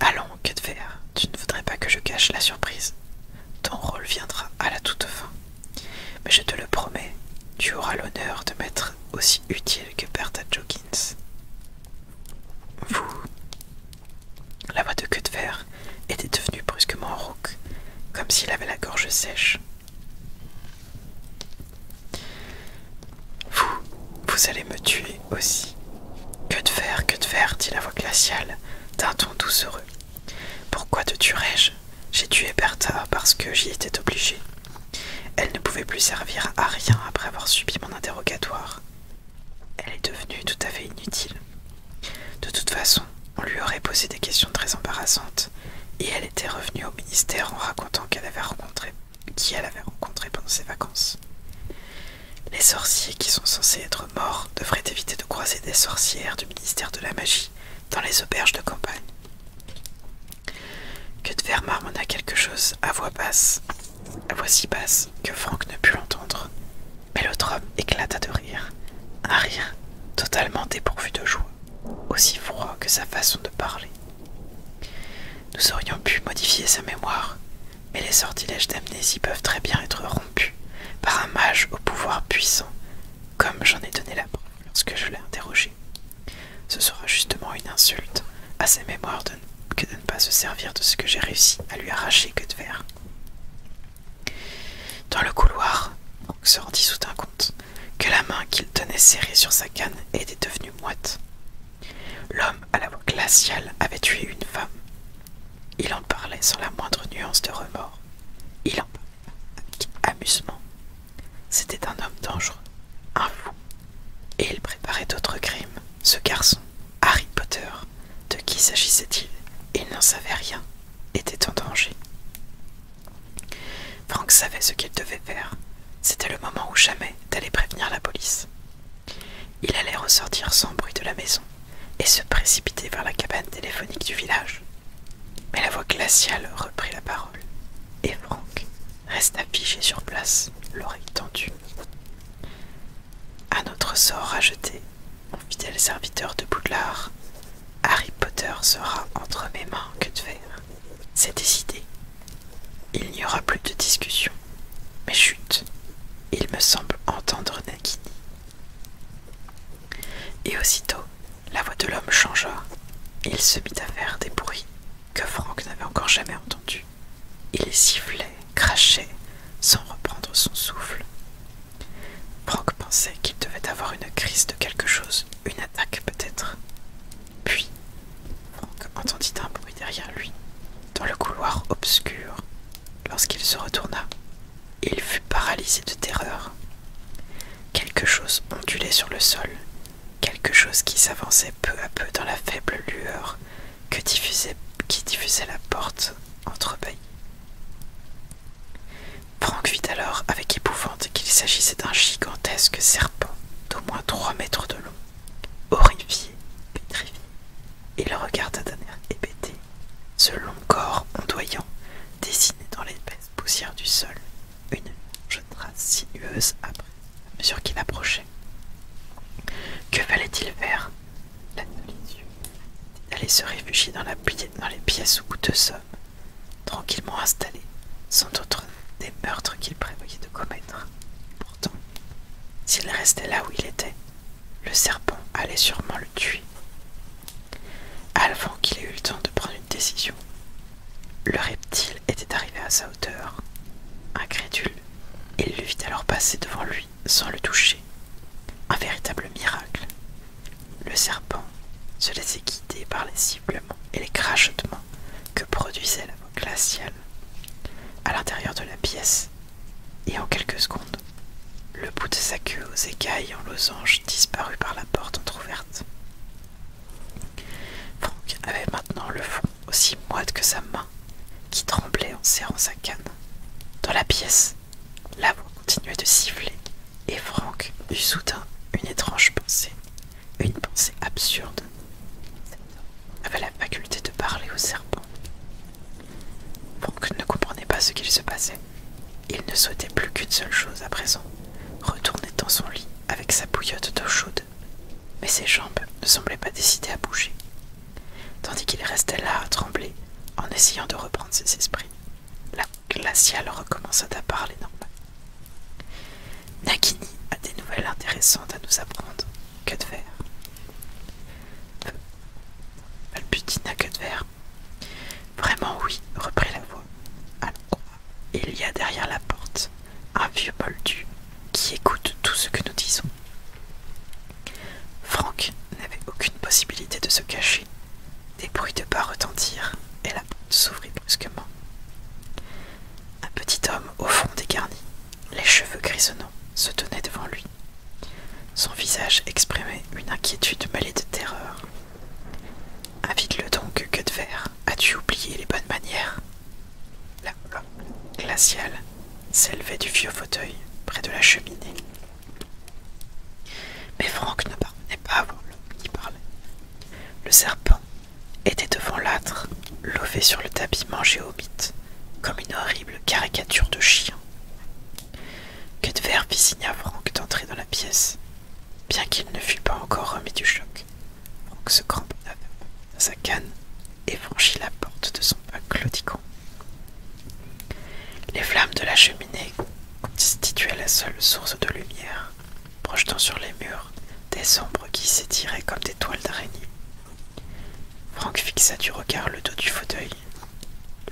[SPEAKER 1] Allons, que Cuthbert, tu ne voudrais pas que je cache la surprise. Ton rôle viendra à la toute fin. Mais je te le promets, tu auras l'honneur de m'être aussi utile que Bertha Jokins. Vous. La voix de queue de était devenue brusquement rauque, comme s'il avait la gorge sèche. Vous, vous allez me tuer aussi, que de faire, que de faire, dit la voix glaciale, d'un ton doucereux. Pourquoi te tuerais-je J'ai tué Bertha parce que j'y étais obligé. Elle ne pouvait plus servir à rien après avoir subi mon interrogatoire. Elle est devenue tout à fait inutile. De toute façon, on lui aurait posé des questions très embarrassantes, et elle était revenue au ministère en racontant qui elle avait rencontré pendant ses vacances. Les sorciers qui sont censés être morts devraient éviter de croiser des sorcières du ministère de la magie dans les auberges de campagne. Que de m'en a quelque chose à voix basse, à voix si basse que Franck ne put l'entendre. Mais l'autre homme éclata de rire, un rire totalement dépourvu de joie, aussi froid que sa façon de parler. Nous aurions pu modifier sa mémoire, mais les sortilèges d'amnésie peuvent très bien être rompus par un mage au pouvoir puissant, comme j'en ai donné la preuve lorsque je l'ai interrogé. Ce sera justement une insulte à ses mémoires que de ne pas se servir de ce que j'ai réussi à lui arracher que de verre. Dans le couloir, on se rendit soudain compte que la main qu'il tenait serrée sur sa canne était devenue moite. L'homme à la voix glaciale avait tué une femme. Il en parlait sans la moindre nuance de remords. Il en parlait avec amusement. C'était un homme dangereux, un fou. Et il préparait d'autres crimes. Ce garçon, Harry Potter, de qui s'agissait-il Il, n'en savait rien, était en danger. Frank savait ce qu'il devait faire. C'était le moment ou jamais d'aller prévenir la police. Il allait ressortir sans bruit de la maison et se précipiter vers la cabane téléphonique du village. Mais la voix glaciale reprit la parole, et Franck resta figé sur place, l'oreille tendue. À notre sort rajeté, mon fidèle serviteur de Boudlard, Harry Potter sera entre mes mains que de verre. C'est décidé. Il n'y aura plus de discussion. Mais chut, il me semble entendre Nagini et aussitôt, la voix de l'homme changea. Il se mit à faire des bruits que Franck n'avait encore jamais entendus. Il les sifflait, crachait, sans reprendre son souffle. Franck pensait qu'il devait avoir une crise de quelque chose, une attaque peut-être. Puis, Franck entendit un bruit derrière lui, dans le couloir obscur. Lorsqu'il se retourna, il fut paralysé de terreur. Quelque chose ondulait sur le sol, quelque chose qui s'avançait peu à peu dans la faible lueur qui diffusait la porte entrebâillée. Franck vit alors avec épouvante qu'il s'agissait d'un gigantesque serpent d'au moins trois mètres de long, horrifié, pétrifié. Il regarda d'un air hébété ce long corps ondoyant dessiné dans l'épaisse poussière du sol, une jeune trace sinueuse après, à mesure qu'il approchait. Que fallait-il faire La il se réfugier dans, la, dans les pièces où deux sommes, tranquillement installés, sans autre des meurtres qu'il prévoyait de commettre. Pourtant, s'il restait là où il était, le serpent allait sûrement le tuer. Avant qu'il ait eu le temps de prendre une décision, le reptile était arrivé à sa hauteur. Incrédule, il le vit alors passer devant lui sans le toucher. Un véritable miracle. Le serpent se laissait guider par les ciblements et les crachotements que produisait la voix glaciale. À l'intérieur de la pièce, et en quelques secondes, le bout de sa queue aux écailles en losange disparut par la porte entr'ouverte. Franck avait maintenant le front aussi moite que sa main, qui tremblait en serrant sa canne. Dans la pièce, la voix continuait de siffler, et Franck eut soudain une étrange pensée, une pensée absurde. avait la faculté de parler au serpent. Brooke ne comprenait pas ce qu'il se passait. Il ne souhaitait plus qu'une seule chose à présent, retourner dans son lit avec sa bouillotte d'eau chaude. Mais ses jambes ne semblaient pas décidées à bouger, tandis qu'il restait là à trembler en essayant de reprendre ses esprits. La glaciale recommença à parler normal. Nagini a des nouvelles intéressantes à nous apprendre. Que de verre. que de Vraiment oui, reprit la voix. Alors, il y a derrière la porte un vieux moldu qui écoute tout ce que nous disons. Franck n'avait aucune possibilité de se cacher. Des bruits de pas retentirent et la porte s'ouvrit brusquement. Un petit homme au fond des garnis, les cheveux grisonnants, se tenait devant lui. Son visage exprimait une inquiétude mêlée de terreur. Invite-le donc, que de verre, as-tu oublié les bonnes manières La glaciale s'élevait du vieux fauteuil près de la cheminée. Mais Franck ne parvenait pas à voir l'homme qui parlait. Le serpent était devant l'âtre, lové sur le tapis mangé au mythe, comme une horrible caricature de chien verre fit signe à Franck d'entrer dans la pièce. Bien qu'il ne fût pas encore remis du choc, Franck se cramponna à sa canne et franchit la porte de son pas claudiquant. Les flammes de la cheminée constituaient la seule source de lumière, projetant sur les murs des ombres qui s'étiraient comme des toiles d'araignée. Franck fixa du regard le dos du fauteuil.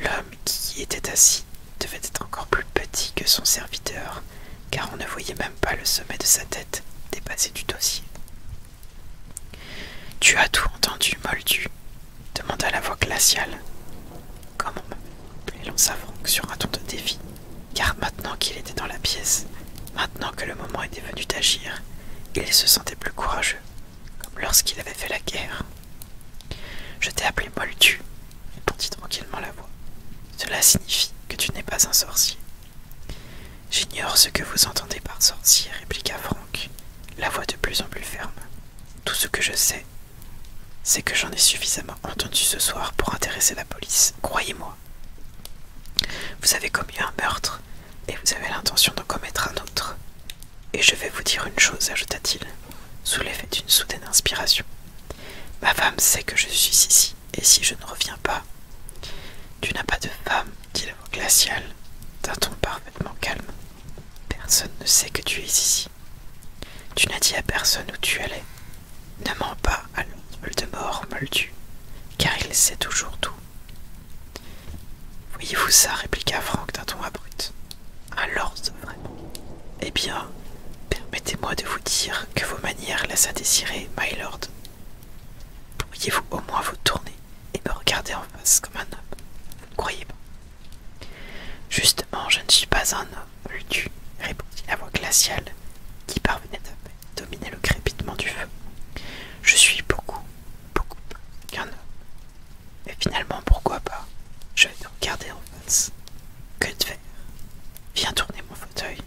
[SPEAKER 1] L'homme qui était assis devait être encore plus petit que son serviteur, car on ne voyait même pas le sommet de sa tête dépasser du dossier. Tu as tout entendu, Moldu demanda la voix glaciale. Comment lança Franck sur un ton de défi, car maintenant qu'il était dans la pièce, maintenant que le moment était venu d'agir, il se sentait plus courageux comme lorsqu'il avait fait la guerre. Je t'ai appelé Moldu, répondit tranquillement la voix. Cela signifie que tu n'es pas un sorcier. J'ignore ce que vous entendez par sorcier, répliqua Franck, la voix de plus en plus ferme. Tout ce que je sais, c'est que j'en ai suffisamment entendu ce soir pour intéresser la police, croyez-moi. Vous avez commis un meurtre et vous avez l'intention d'en commettre un autre. Et je vais vous dire une chose, ajouta-t-il, sous l'effet d'une soudaine inspiration. Ma femme sait que je suis ici, et si je ne reviens pas. Tu n'as pas de femme, dit la voix glaciale, d'un ton parfaitement calme. Personne ne sait que tu es ici. Tu n'as dit à personne où tu allais. Ne mens pas à le Moldu, car il sait toujours tout. Voyez-vous ça, répliqua Franck d'un ton abrupt. Alors, vrai. Eh bien, permettez-moi de vous dire que vos manières laissent à désirer, my lord. Pourriez-vous au moins vous tourner et me regarder en face comme un homme croyez pas Justement, je ne suis pas un homme, lui-tu tu, répondit la voix glaciale qui parvenait à dominer le crépitement du feu. Je suis beaucoup, beaucoup plus qu'un homme. Et finalement, pourquoi pas Je vais te regarder en face. Que de Viens tourner mon fauteuil.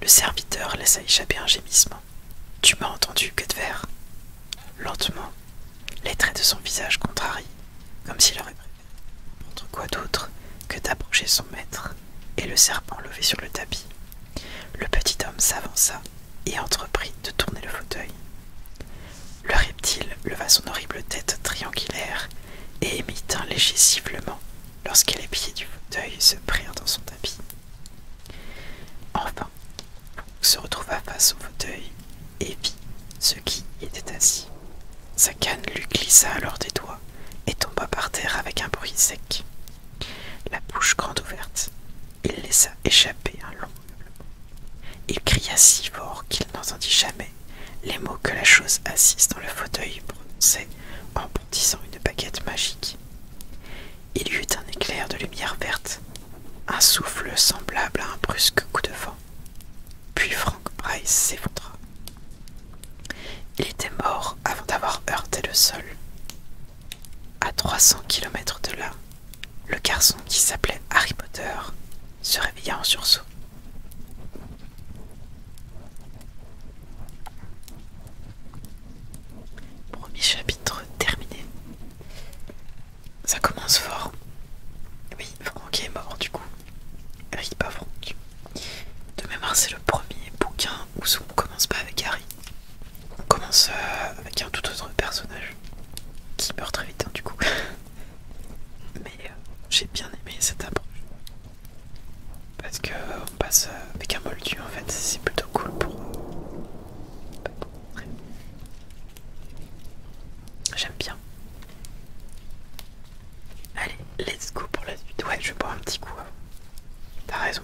[SPEAKER 1] Le serviteur laissa échapper un gémissement. Tu m'as entendu, que de Lentement, les traits de son visage contrarient, comme s'il aurait quoi d'autre, que d'approcher son maître et le serpent levé sur le tapis. Le petit homme s'avança et entreprit de tourner le fauteuil. Le reptile leva son horrible tête triangulaire et émit un léger sifflement lorsque les pieds du fauteuil se prirent dans son tapis. Enfin, se retrouva face au fauteuil et vit ce qui était assis. Sa canne lui glissa alors des doigts et tomba par terre avec un bruit sec. La bouche grande ouverte, il laissa échapper un long il cria si fort qu'il n'entendit jamais les mots que la chose assise dans le fauteuil prononçait en bondissant une baguette magique. Il y eut un éclair de lumière verte, un souffle semblable à un brusque coup de vent. Puis Frank Price s'effondra. Il était mort avant d'avoir heurté le sol. À 300 km de là, le garçon qui s'appelait Harry Potter se réveilla en sursaut. Premier chapitre terminé. Ça commence fort. Oui, Franck est mort du coup. Harry, pas Franck. De mémoire, c'est le premier bouquin où on commence pas avec Harry. On commence euh, avec un tout autre personnage qui meurt très vite hein, du coup. Mais j'ai bien aimé cette approche. Parce qu'on passe euh, avec un moldu en fait, c'est plutôt cool pour... Euh, J'aime bien. Allez, let's go pour la suite. Ouais, je vais boire un petit coup. Hein. T'as raison.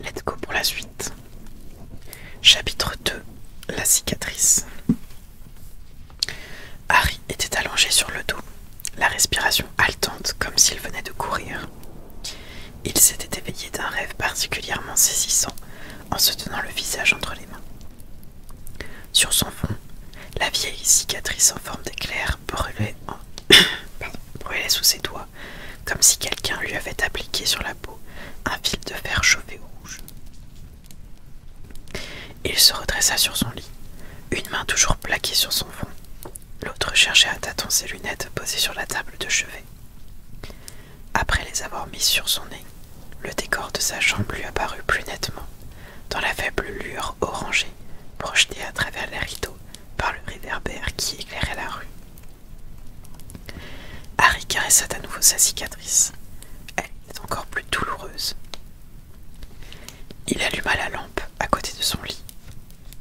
[SPEAKER 1] Let's go pour la suite. Chapitre 2 La cicatrice. Harry était allongé sur le dos, la respiration haletante comme s'il venait de courir. Il s'était éveillé d'un rêve particulièrement saisissant en se tenant le visage entre les mains. Sur son front, la vieille cicatrice en forme d'éclair brûlait, sous ses doigts, comme si quelqu'un lui avait appliqué sur la peau un fil de fer chauffé rouge. Il se redressa sur son lit, une main toujours plaquée sur son front, l'autre cherchait à tâtons ses lunettes posées sur la table de chevet. Après les avoir mis sur son nez, le décor de sa chambre lui apparut plus nettement, dans la faible lueur orangée projetée à travers les rideaux par le réverbère qui éclairait la rue. Harry caressa à nouveau sa cicatrice. Elle était encore plus douloureuse. Il alluma la lampe à côté de son lit,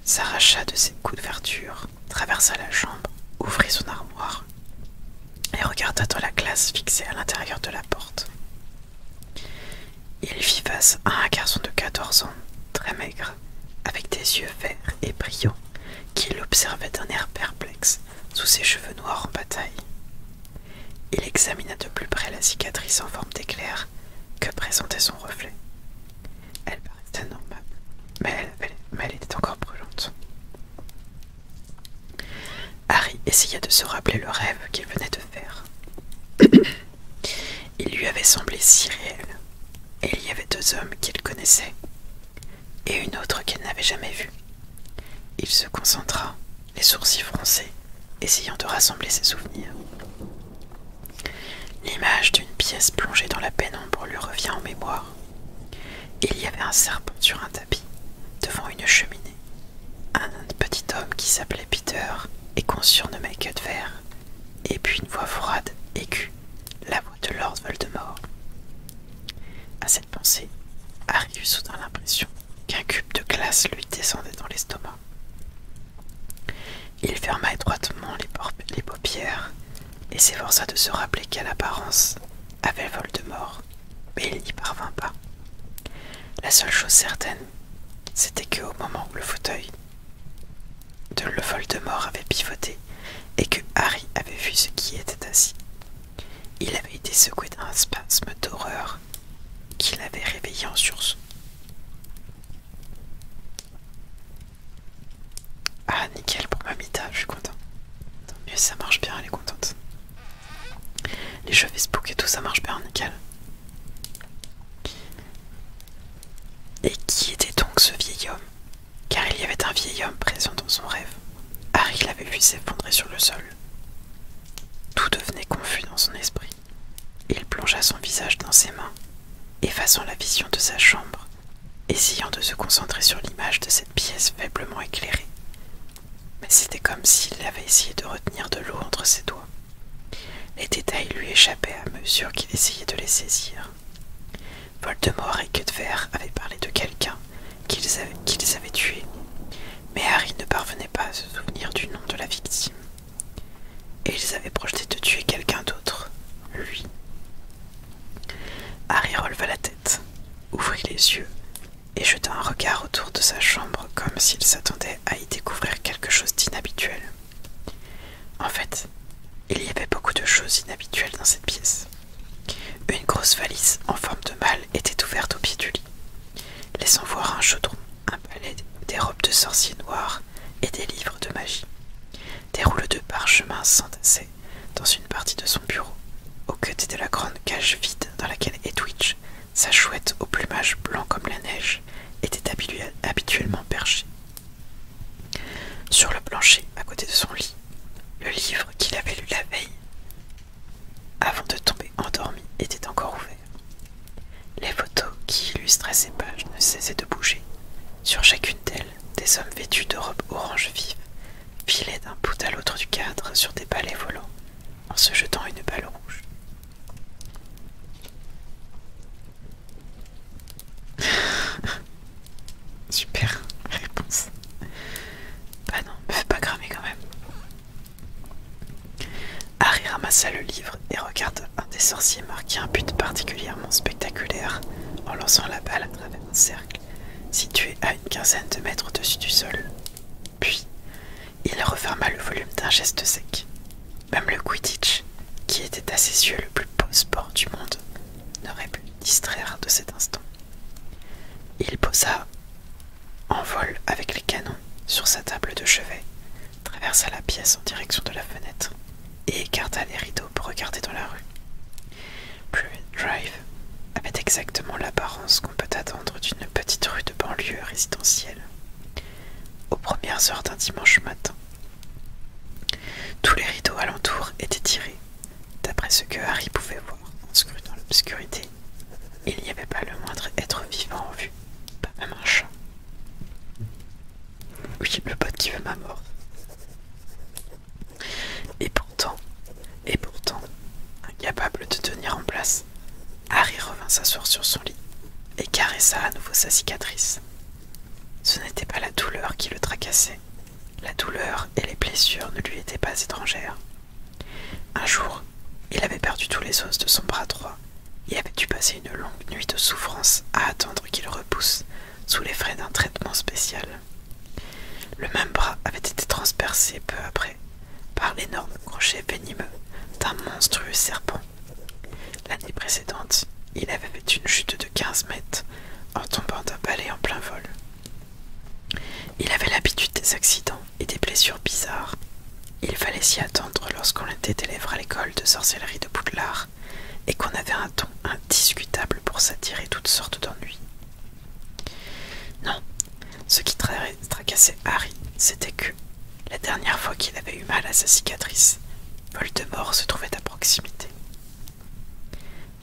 [SPEAKER 1] s'arracha de ses coups verture traversa la chambre, ouvrit son armoire et regarda dans la glace fixée à l'intérieur de la porte. Il fit face à un garçon de 14 ans, très maigre, avec des yeux verts et brillants, qui l'observait d'un air perplexe sous ses cheveux noirs en bataille. Il examina de plus près la cicatrice en forme d'éclair que présentait son reflet. Elle paraissait normale, mais elle était encore brûlante. Harry essaya de se rappeler le rêve qu'il venait de faire. Il lui avait semblé si réel, et il y avait deux hommes qu'il connaissait, et une autre qu'elle n'avait jamais vue. Il se concentra, les sourcils froncés, essayant de rassembler ses souvenirs. L'image d'une pièce plongée dans la pénombre lui revient en mémoire. Il y avait un serpent sur un tapis, devant une cheminée. Un petit homme qui s'appelait Peter et qu'on de Queue de Verre. Et puis une voix froide, aiguë, la voix de Lord Voldemort. À cette pensée, Harry eut soudain l'impression qu'un cube de glace lui descendait dans l'estomac. Il ferma étroitement les paupières et s'efforça de se rappeler quelle apparence avait Voldemort, mais il n'y parvint pas. La seule chose certaine, c'était que moment où le fauteuil de Voldemort avait pivoté et que Harry avait vu ce qui était assis, il avait été secoué d'un spasme d'horreur qui l'avait réveillé en sursaut. Ah, nickel pour Mamita, je suis content. Tant ça marche bien, elle est contente. Les jeux Facebook et tout, ça marche bien, nickel. Et qui était donc ce vieil homme Car il y avait un vieil homme présent dans son rêve. Harry l'avait vu s'effondrer sur le sol. Tout devenait confus dans son esprit. Il plongea son visage dans ses mains, effaçant la vision de sa chambre essayant de se concentrer sur l'image de cette pièce faiblement éclairée. Mais c'était comme s'il avait essayé de retenir de l'eau entre ses doigts. Les détails lui échappaient à mesure qu'il essayait de les saisir. Voldemort et Quedver avaient parlé de quelqu'un qu'ils avaient, avaient tué, mais Harry ne parvenait pas à se souvenir du nom de la victime. Et ils avaient projeté de tuer quelqu'un d'autre, lui. Harry releva la tête ouvrit les yeux et jeta un regard autour de sa chambre comme s'il s'attendait à y découvrir quelque chose d'inhabituel. En fait, il y avait beaucoup de choses inhabituelles dans cette pièce. Une grosse valise en forme de mâle était ouverte au pied du lit, laissant voir un chaudron, un palais, des robes de sorciers noirs et des livres de magie. Des rouleaux de parchemin s'entassaient dans une partie de son bureau, au côté de la grande cage vide dans laquelle Edwidge, sa chouette au plumage blanc comme la neige, était habituellement perchée. Sur le plancher, à côté de son lit, le livre qu'il avait lu la veille, avant de tomber endormi, était encore ouvert. Les photos qui illustraient ces pages ne cessaient de bouger. Sur chacune d'elles, des hommes vêtus de robes orange vives filait d'un bout à l'autre du cadre sur des balais volants en se jetant une balle rouge. Super réponse. Bah non, me fais pas cramer quand même. Harry ramassa le livre et regarde un des sorciers marquer un but particulièrement spectaculaire en lançant la balle à cercle situé à une quinzaine de mètres au-dessus du sol. Puis, il referma le volume d'un geste sec. Même le Quidditch, qui était à ses yeux le plus beau sport du monde, n'aurait pu distraire de cet instant. Il posa en vol avec les canons sur sa table de chevet, traversa la pièce en direction de la fenêtre et écarta les rideaux pour regarder dans la rue. Pruitt Drive avait exactement l'apparence qu'on peut attendre d'une petite rue de banlieue résidentielle, aux premières heures d'un dimanche matin. Tous les rideaux alentour étaient tirés, d'après ce que Harry pouvait voir en dans l'obscurité. Il n'y avait pas le moindre être vivant en vue, pas même un chat. Oui, le pote qui veut ma mort. Et pourtant, et pourtant, incapable de tenir en place, Harry revint s'asseoir sur son lit et caressa à nouveau sa cicatrice. Ce n'était pas la douleur qui le tracassait. La douleur et les blessures ne lui étaient pas étrangères. Un jour, il avait perdu tous les os de son bras droit et avait dû passer une longue nuit de souffrance à attendre qu'il repousse sous les frais d'un traitement spécial. Le même bras avait été transpercé peu après par l'énorme crochet venimeux d'un monstrueux serpent. L'année précédente, il avait fait une chute de 15 mètres en tombant d'un palais en plein vol. Il avait l'habitude des accidents et des blessures bizarres. Il fallait s'y attendre lorsqu'on était élève à l'école de sorcellerie de Boudelard et qu'on avait un ton indiscutable pour s'attirer toutes sortes d'ennuis. Non, ce qui tracassait Harry, c'était que, la dernière fois qu'il avait eu mal à sa cicatrice, Voldemort se trouvait à proximité.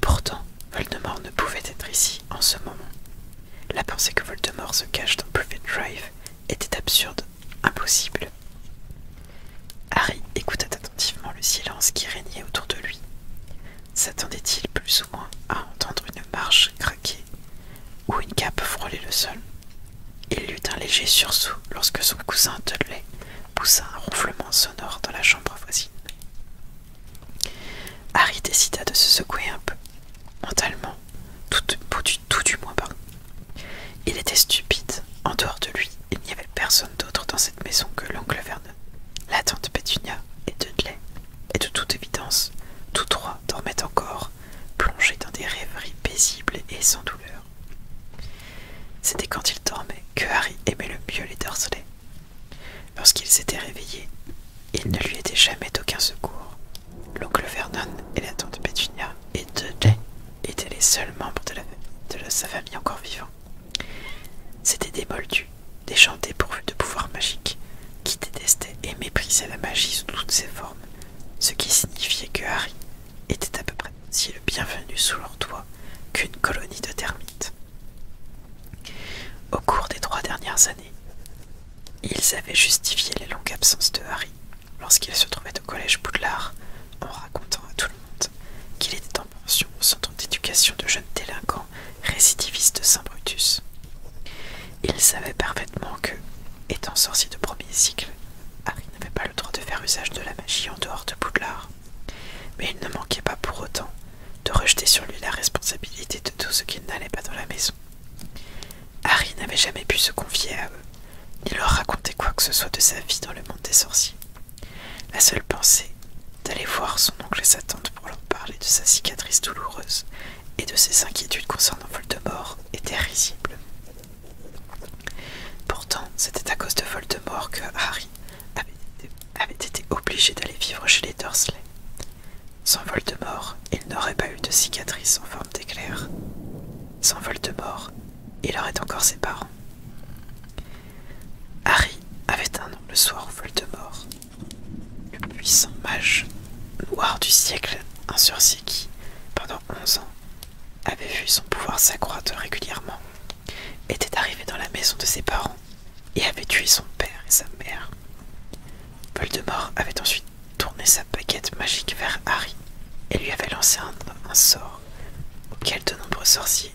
[SPEAKER 1] Pourtant, Voldemort ne pouvait être ici en ce moment. La pensée que Voldemort se cache dans Private Drive était absurde, impossible. Harry écoutait attentivement le silence qui régnait autour de lui. S'attendait-il plus ou moins à entendre une marche craquer ou une cape frôler le sol Il eut un léger sursaut lorsque son cousin Dudley poussa un ronflement sonore dans la chambre voisine. Harry décida de se secouer un peu, mentalement, tout, du moins pas. Il était stupide, en dehors de lui, il n'y avait personne d'autre dans cette maison que l'oncle Vernon, la tante Pétunia et Dudley, et de toute évidence, tous trois dormaient encore, plongés dans des rêveries paisibles et sans douleur. C'était quand ils dormaient que Harry aimait le mieux les Dorsley. Lorsqu'ils s'étaient réveillés, il ne lui était jamais d'aucun secours. L'oncle Vernon et la tante Pétunia et Dudley étaient les seuls membres de, de sa famille encore vivants. C'était des moldus, des gens dépourvus de pouvoirs magiques qui détestaient et méprisaient la magie sous toutes ses formes, ce qui signifiait que Harry était à peu près si le bienvenu sous leur toit qu'une colonie de termites. Au cours des trois dernières années, ils avaient justifié la longue absence de Harry lorsqu'il se trouvait au collège Boudlard en racontant à tout le monde qu'il était en pension au centre d'éducation de jeunes délinquants récidiviste Saint Brutus. Il savait parfaitement que, étant sorcier de premier cycle, Harry n'avait pas le droit de faire usage de la magie en dehors de Poudlard, mais il ne manquait pas pour autant de rejeter sur lui la responsabilité de tout ce qui n'allait pas dans la maison. Harry n'avait jamais pu se confier à eux, ni leur raconter quoi que ce soit de sa vie dans le monde des sorciers. La seule pensée d'aller voir son oncle et sa tante pour leur parler de sa cicatrice douloureuse et de ses inquiétudes concernant Voldemort étaient risible. Pourtant, c'était à cause de Voldemort que Harry avait été, obligé d'aller vivre chez les Dursley. Sans Voldemort, il n'aurait pas eu de cicatrice en forme d'éclair. Sans Voldemort, il aurait encore ses parents. Harry avait un an le soir où Voldemort le puissant mage noir du siècle, un sorcier qui, pendant onze ans, avait vu son pouvoir s'accroître régulièrement, était arrivé dans la maison de ses parents et avait tué son père et sa mère. Voldemort avait ensuite tourné sa baguette magique vers Harry et lui avait lancé un, sort auquel de nombreux sorciers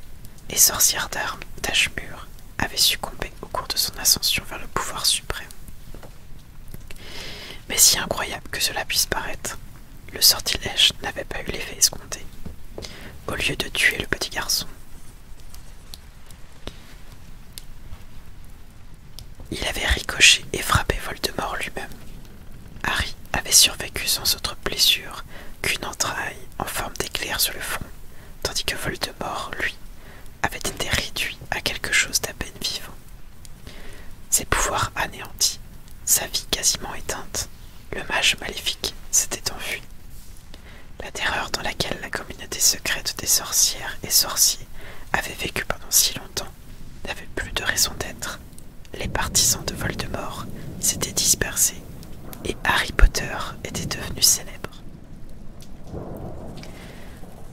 [SPEAKER 1] et sorcières d'armes d'âge mûres avait succombé au cours de son ascension vers le pouvoir suprême. Mais si incroyable que cela puisse paraître, le sortilège n'avait pas eu l'effet escompté. Au lieu de tuer le petit garçon, il avait ricoché et frappé Voldemort lui-même. Harry avait survécu sans autre blessure qu'une entraille en forme d'éclair sur le front, tandis que Voldemort, lui, avait été réduit à quelque chose d'à peine vivant. Ses pouvoirs anéantis, sa vie quasiment éteinte, le mage maléfique s'était enfui. La terreur dans laquelle la communauté secrète des sorcières et sorciers avait vécu pendant si longtemps n'avait plus de raison d'être. Les partisans de Voldemort s'étaient dispersés et Harry Potter était devenu célèbre.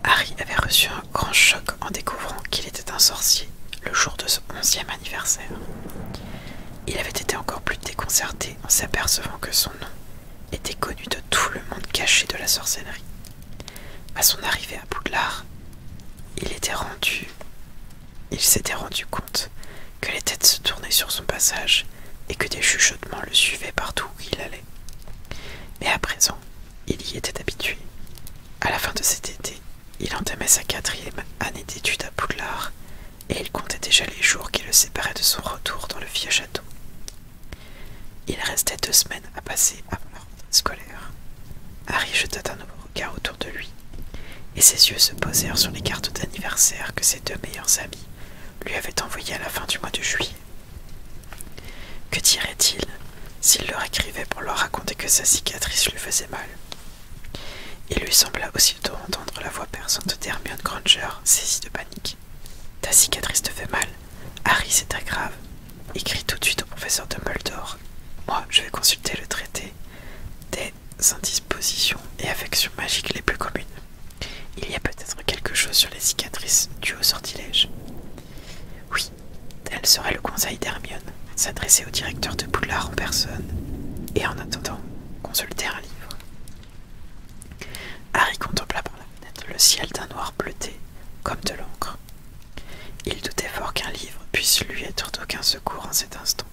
[SPEAKER 1] Harry avait reçu un grand choc en découvrant qu'il était un sorcier le jour de son onzième anniversaire. Il avait été encore plus déconcerté en s'apercevant que son nom était connu de tout le monde caché de la sorcellerie. À son arrivée à Poudlard, il était rendu, il s'était rendu compte que les têtes se tournaient sur son passage et que des chuchotements le suivaient partout où il allait. Mais à présent, il y était habitué. À la fin de cet été, il entamait sa quatrième année d'études à Boulard et il comptait déjà les jours qui le séparaient de son retour dans le vieux château. Il restait deux semaines à passer avant la rentrée scolaire. Harry jeta un nouveau regard autour de lui et ses yeux se posèrent sur les cartes d'anniversaire que ses deux meilleurs amis lui avaient envoyées à la fin du mois de juillet. Que dirait-il s'il leur écrivait pour leur raconter que sa cicatrice lui faisait mal Il lui sembla aussitôt entendre la voix perçante d'Hermione Granger, saisie de panique. Ta cicatrice te fait mal Harry, c'est aggrave, grave. Écris tout de suite au professeur de Dumbledore. Moi, je vais consulter le traité des indispositions et affections magiques les plus communes. Il y a peut-être quelque chose sur les cicatrices dues au sortilège. Oui, tel serait le conseil d'Hermione, s'adresser au directeur de Poudlard en personne, et en attendant, consulter un livre. Harry contempla par la fenêtre le ciel d'un noir bleuté, comme de l'encre. Il doutait fort qu'un livre puisse lui être d'aucun secours en cet instant.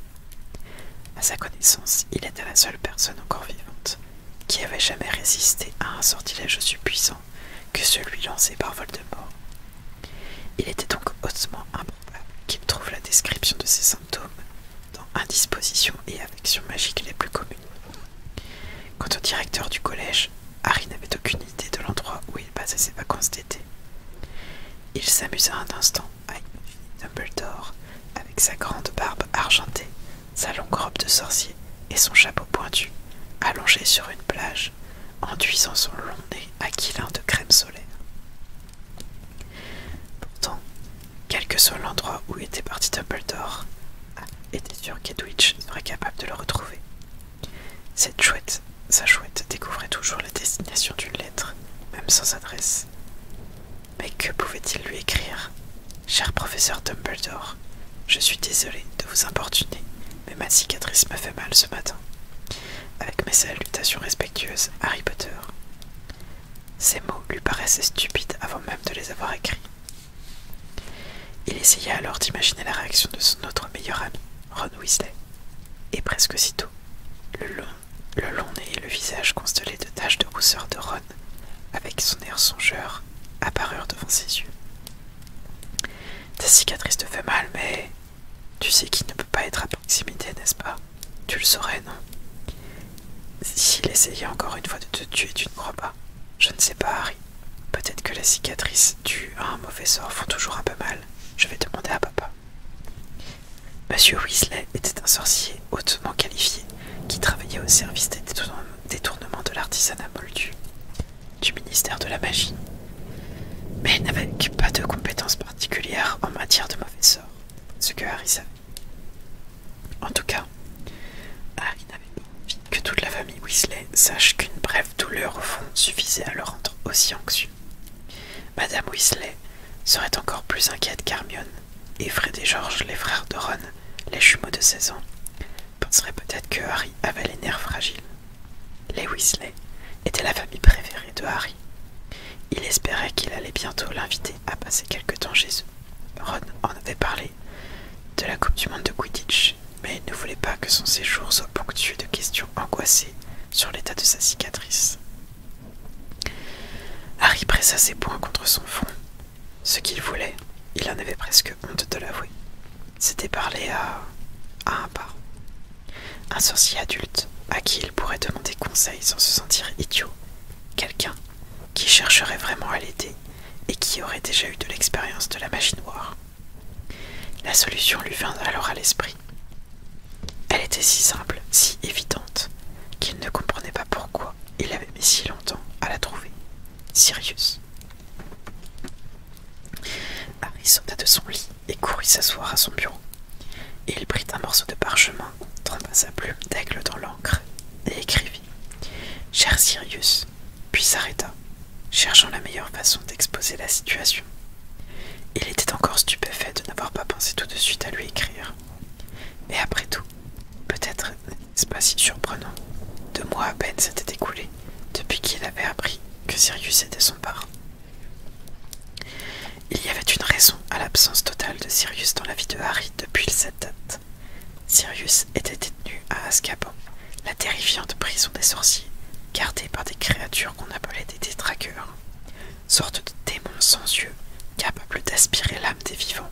[SPEAKER 1] À sa connaissance, il était la seule personne encore vivante qui avait jamais résisté à un sortilège aussi puissant que celui lancé par Voldemort. Il était donc hautement improbable qu'il trouve la description de ses symptômes dans indisposition et affection magique les plus communes. Quant au directeur du collège, Harry n'avait aucune idée de l'endroit où il passait ses vacances d'été. Il s'amusa un instant à imaginer Dumbledore avec sa grande barbe argentée sa longue robe de sorcier et son chapeau pointu, allongé sur une plage, enduisant son long nez aquilin de crème solaire. Pourtant, quel que soit l'endroit où était parti Dumbledore, était sûr qu'Edwidge serait capable de le retrouver. Cette chouette, sa chouette découvrait toujours la destination d'une lettre, même sans adresse. Mais que pouvait-il lui écrire Cher professeur Dumbledore, je suis désolé de vous importuner, mais ma cicatrice m'a fait mal ce matin. Avec mes salutations respectueuses, Harry Potter. Ces mots lui paraissaient stupides avant même de les avoir écrits. Il essaya alors d'imaginer la réaction de son autre meilleur ami, Ron Weasley. Et presque aussitôt, le long, le long nez et le visage constellé de taches de rousseur de Ron avec son air songeur, apparurent devant ses yeux. Ta cicatrice te fait mal, mais tu sais qu'il ne peut pas être à proximité, n'est-ce pas Tu le saurais, non S'il essayait encore une fois de te tuer, tu ne crois pas Je ne sais pas, Harry. Peut-être que les cicatrices dues à un mauvais sort font toujours un peu mal. Je vais demander à papa. Monsieur Weasley était un sorcier hautement qualifié qui travaillait au service des détournement de l'artisanat moldu, du ministère de la magie, mais n'avait pas de compétences particulières en matière de mauvais sort, ce que Harry savait. En tout cas, Harry n'avait pas envie que toute la famille Weasley sache qu'une brève douleur au fond suffisait à le rendre aussi anxieux. Madame Weasley serait encore plus inquiète qu'Hermione, et Fred et George, les frères de Ron, les jumeaux de 16 ans, penserait peut-être que Harry avait les nerfs fragiles. Les Weasley étaient la famille préférée de Harry. Il espérait qu'il allait bientôt l'inviter à passer quelque temps chez eux. Ron en avait parlé de la Coupe du Monde de Quidditch, mais il ne voulait pas que son séjour soit ponctué de questions angoissées sur l'état de sa cicatrice. Harry pressa ses poings contre son front ce qu'il voulait, il en avait presque honte de l'avouer. C'était parler à. un parent. Un sorcier adulte à qui il pourrait demander conseil sans se sentir idiot. Quelqu'un qui chercherait vraiment à l'aider et qui aurait déjà eu de l'expérience de la machine noire. La solution lui vint alors à l'esprit. Elle était si simple, si évidente, qu'il ne comprenait pas pourquoi il avait mis si longtemps à la trouver. Sirius. Harry sauta de son lit et courut s'asseoir à son bureau. Il prit un morceau de parchemin, trempa sa plume d'aigle dans l'encre et écrivit Cher Sirius, puis s'arrêta, cherchant la meilleure façon d'exposer la situation. Il était encore stupéfait de n'avoir pas pensé tout de suite à lui écrire. Mais après tout, peut-être c'est pas si surprenant. Deux mois à peine s'étaient écoulés depuis qu'il avait appris que Sirius était son parrain. Il y avait une raison à l'absence totale de Sirius dans la vie de Harry depuis cette date. Sirius était détenu à Azkaban, la terrifiante prison des sorciers, gardée par des créatures qu'on appelait des détraqueurs, sortes de démons sans yeux, capables d'aspirer l'âme des vivants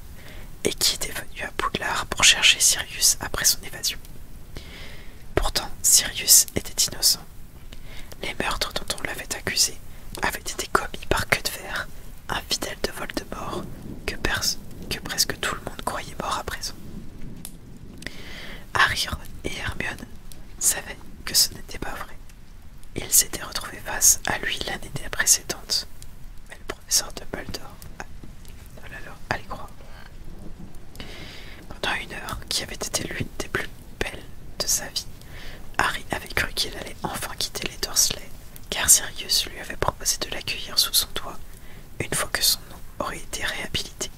[SPEAKER 1] et qui était venu à Poudlard pour chercher Sirius après son évasion. Pourtant, Sirius était innocent. Les meurtres dont on l'avait accusé avaient été commis par Que de un fidèle de Voldemort que, que presque tout le monde croyait mort à présent. Harry et Hermione savaient que ce n'était pas vrai. Ils s'étaient retrouvés face à lui l'année précédente, Sort de ah, oh là, Allez croire. Pendant une heure, qui avait été l'une des plus belles de sa vie, Harry avait cru qu'il allait enfin quitter les Dorsley, car Sirius lui avait proposé de l'accueillir sous son toit une fois que son nom aurait été réhabilité.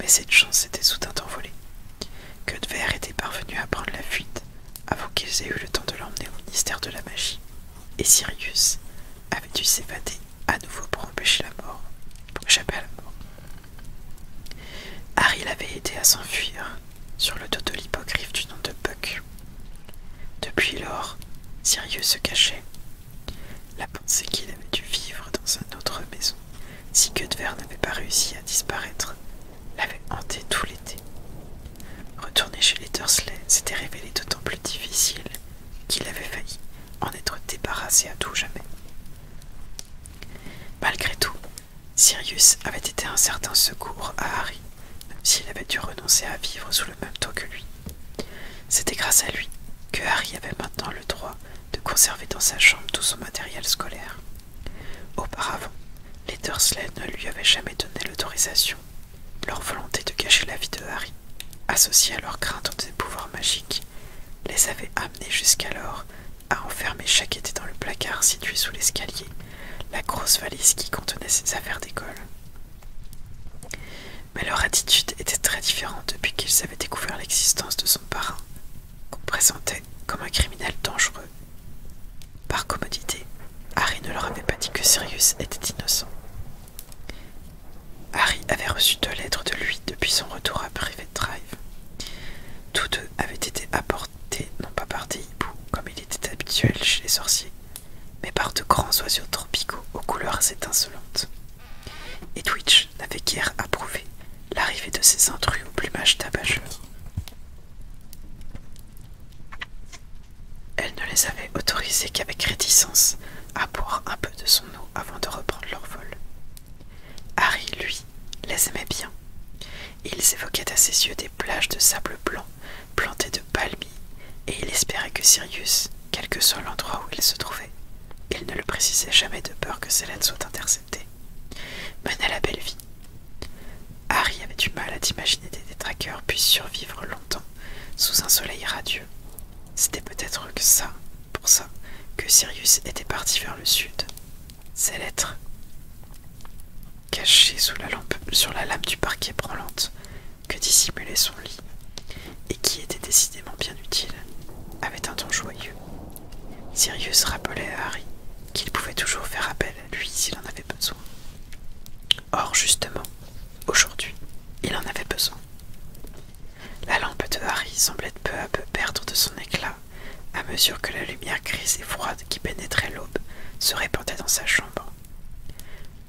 [SPEAKER 1] Mais cette chance s'était soudain envolée. Cudvert était parvenu à prendre la fuite avant qu'ils aient eu le temps de l'emmener au mystère de la magie, et Sirius avait dû s'évader à nouveau pour empêcher la mort, pour échapper à la mort. Harry l'avait aidé à s'enfuir sur le dos de l'hypocryphe du nom de Buck. Depuis lors, Sirius se cachait. La pensée qu'il avait dû vivre dans une autre maison si Gutver n'avait pas réussi à disparaître l'avait hanté tout l'été. Retourner chez les Dursley s'était révélé d'autant plus difficile qu'il avait failli en être débarrassé à tout jamais. Malgré tout, Sirius avait été un certain secours à Harry, même s'il avait dû renoncer à vivre sous le même toit que lui. C'était grâce à lui que Harry avait maintenant le droit de conserver dans sa chambre tout son matériel scolaire. Auparavant, les Dursley ne lui avaient jamais donné l'autorisation leur volonté de cacher la vie de Harry, associée à leur crainte de ses pouvoirs magiques, les avait amenés jusqu'alors à enfermer chaque été dans le placard situé sous l'escalier la grosse valise qui contenait ses affaires d'école. Mais leur attitude était très différente depuis qu'ils avaient découvert l'existence de son parrain, qu'on présentait comme un criminel dangereux. Par commodité, Harry ne leur avait pas dit que Sirius était innocent. Harry avait reçu deux lettres de lui depuis son retour à Private Drive. Tous deux avaient été apportés non pas par des hiboux, comme il était habituel chez les sorciers, mais par de grands oiseaux tropicaux aux couleurs étincelantes. Et Twitch n'avait guère approuvé l'arrivée de ces intrus au plumage tabageux. Elle ne les avait autorisés qu'avec réticence à boire un peu de son eau avant de reprendre leur vol. Harry, lui, les aimait bien. Ils évoquaient à ses yeux des plages de sable blanc plantées de palmiers, et il espérait que Sirius, quel que soit l'endroit où il se trouvait, il ne le précisait jamais de peur que Célène soit interceptée, menait la belle vie. Harry avait du mal à imaginer des détraqueurs puissent survivre longtemps sous un soleil radieux c'était peut-être que ça, pour ça, que Sirius était parti vers le sud. Ces lettres, cachées sous la lampe, sur la lame du parquet branlante, que dissimulait son lit, et qui était décidément bien utile, avaient un ton joyeux. Sirius rappelait à Harry qu'il pouvait toujours faire appel à lui s'il en avait besoin. Or, justement, Aujourd'hui, il en avait besoin. La lampe de Harry semblait peu à peu perdre de son éclat à mesure que la lumière grise et froide qui pénétrait l'aube se répandait dans sa chambre.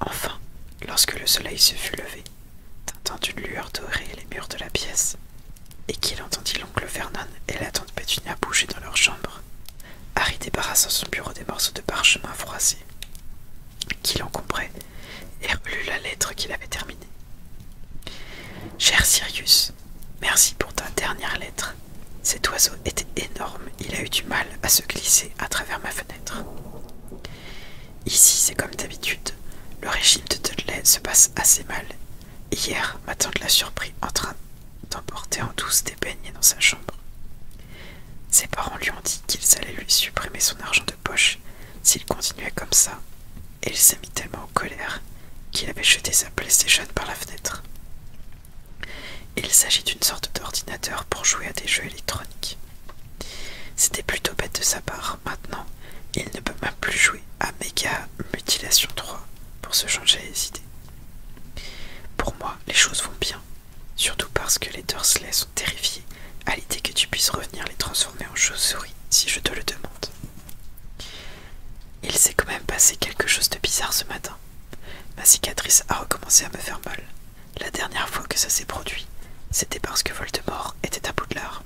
[SPEAKER 1] Enfin, lorsque le soleil se fut levé, tintant d'une lueur dorée les murs de la pièce, et qu'il entendit l'oncle Vernon et la tante bettina bouger dans leur chambre, Harry débarrassa son bureau des morceaux de parchemin froissés qui l'encombraient et relut la lettre qu'il avait terminée. Cher Sirius, merci pour ta dernière lettre. Cet oiseau était énorme, il a eu du mal à se glisser à travers ma fenêtre. Ici, c'est comme d'habitude, le régime de Dudley se passe assez mal. Hier, ma tante l'a surpris en train d'emporter en douce des beignets dans sa chambre. Ses parents lui ont dit qu'ils allaient lui supprimer son argent de poche s'il continuait comme ça, et il s'est mis tellement en colère qu'il avait jeté sa PlayStation par la fenêtre. Il s'agit d'une sorte d'ordinateur pour jouer à des jeux électroniques. C'était plutôt bête de sa part. Maintenant, il ne peut même plus jouer à Mega Mutilation 3 pour se changer les idées. Pour moi, les choses vont bien, Surtout parce que les Dursley sont terrifiés à l'idée que tu puisses revenir les transformer en chauves-souris si je te le demande. Il s'est quand même passé quelque chose de bizarre ce matin. Ma cicatrice a recommencé à me faire mal. La dernière fois que ça s'est produit, c'était parce que Voldemort était à bout de l'heure.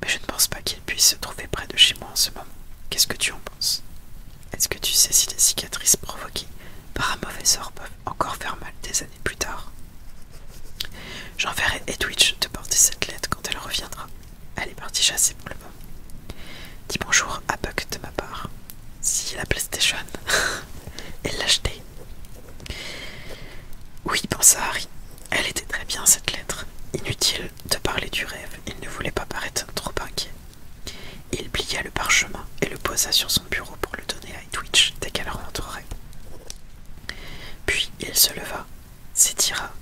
[SPEAKER 1] Mais je ne pense pas qu'il puisse se trouver près de chez moi en ce moment. Qu'est-ce que tu en penses Est-ce que tu sais si les cicatrices provoquées par un mauvais sort peuvent encore faire mal des plus tard. J'enverrai Edwidge de porter cette lettre quand elle reviendra. Elle est partie chasser pour le moment. Dis bonjour à Buck de ma part. Si la PlayStation, elle l'a Oui, pensa Harry. Elle était très bien cette lettre. Inutile de parler du rêve, il ne voulait pas paraître trop inquiet. Il plia le parchemin et le posa sur son bureau pour le donner à Edwidge dès qu'elle rentrerait. Puis il se leva, s'étira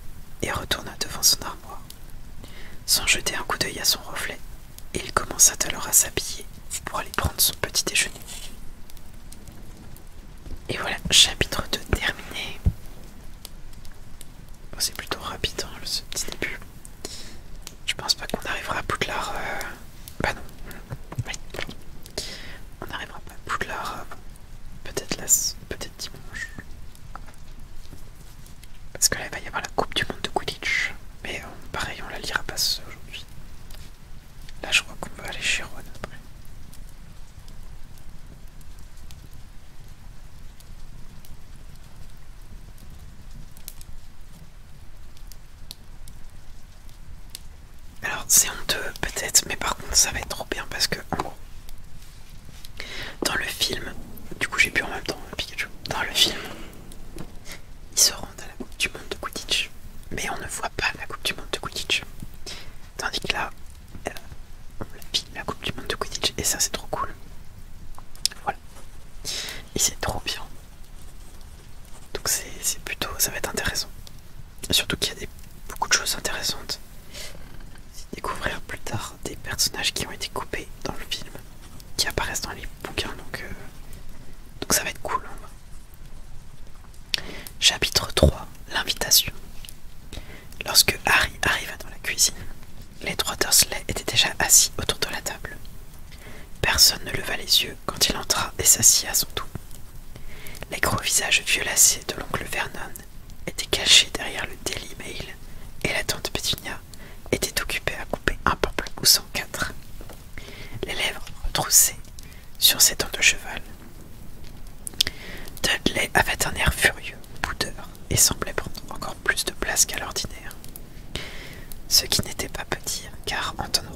[SPEAKER 1] et retourna devant son armoire. Sans jeter un coup d'œil à son reflet, il commença alors à s'habiller pour aller prendre son petit déjeuner. Et voilà, chapitre 2 terminé. C'est plutôt rapide hein, ce petit début. Je pense pas qu'on arrivera à Poudlard. Euh, bah non. On n'arrivera pas à Poudlard euh, peut-être peut-être dimanche. Parce que là il va y avoir la Coupe du Monde de Quidditch. Mais euh, pareil, on la lira pas aujourd'hui. Là je crois qu'on va aller chez Ron après. Alors c'est honteux peut-être, mais par contre ça va être trop bien parce que gros, dans le film, du coup j'ai pu en même temps Pikachu, dans le film, ils se rendent à la Coupe du Monde de Quidditch, mais on ne voit pas la Coupe du Monde de Quidditch. Tandis que là, on euh, la vit la Coupe du Monde de Quidditch et ça c'est trop cool. Voilà. Et c'est trop bien. Donc c'est plutôt, ça va être intéressant surtout qu'il y a beaucoup de choses intéressantes. découvrir plus tard des personnages qui ont été coupés dans le film, qui apparaissent dans les bouquins, donc, euh, ça va être cool. Hein. Chapitre 3 L'invitation. Lorsque Harry arriva dans la cuisine, les trois Dursley étaient déjà assis autour de la table. Personne ne leva les yeux quand il entra et s'assit à son tour. Les gros visages violacés de l'oncle Vernon étaient cachés derrière le Daily Mail et la tante Petunia était occupée à couper un ou en quatre, les lèvres retroussées sur ses dents de cheval. Dudley avait un air furieux, boudeur, et semblait prendre encore plus de place qu'à l'ordinaire. Ce qui n'était pas petit, car en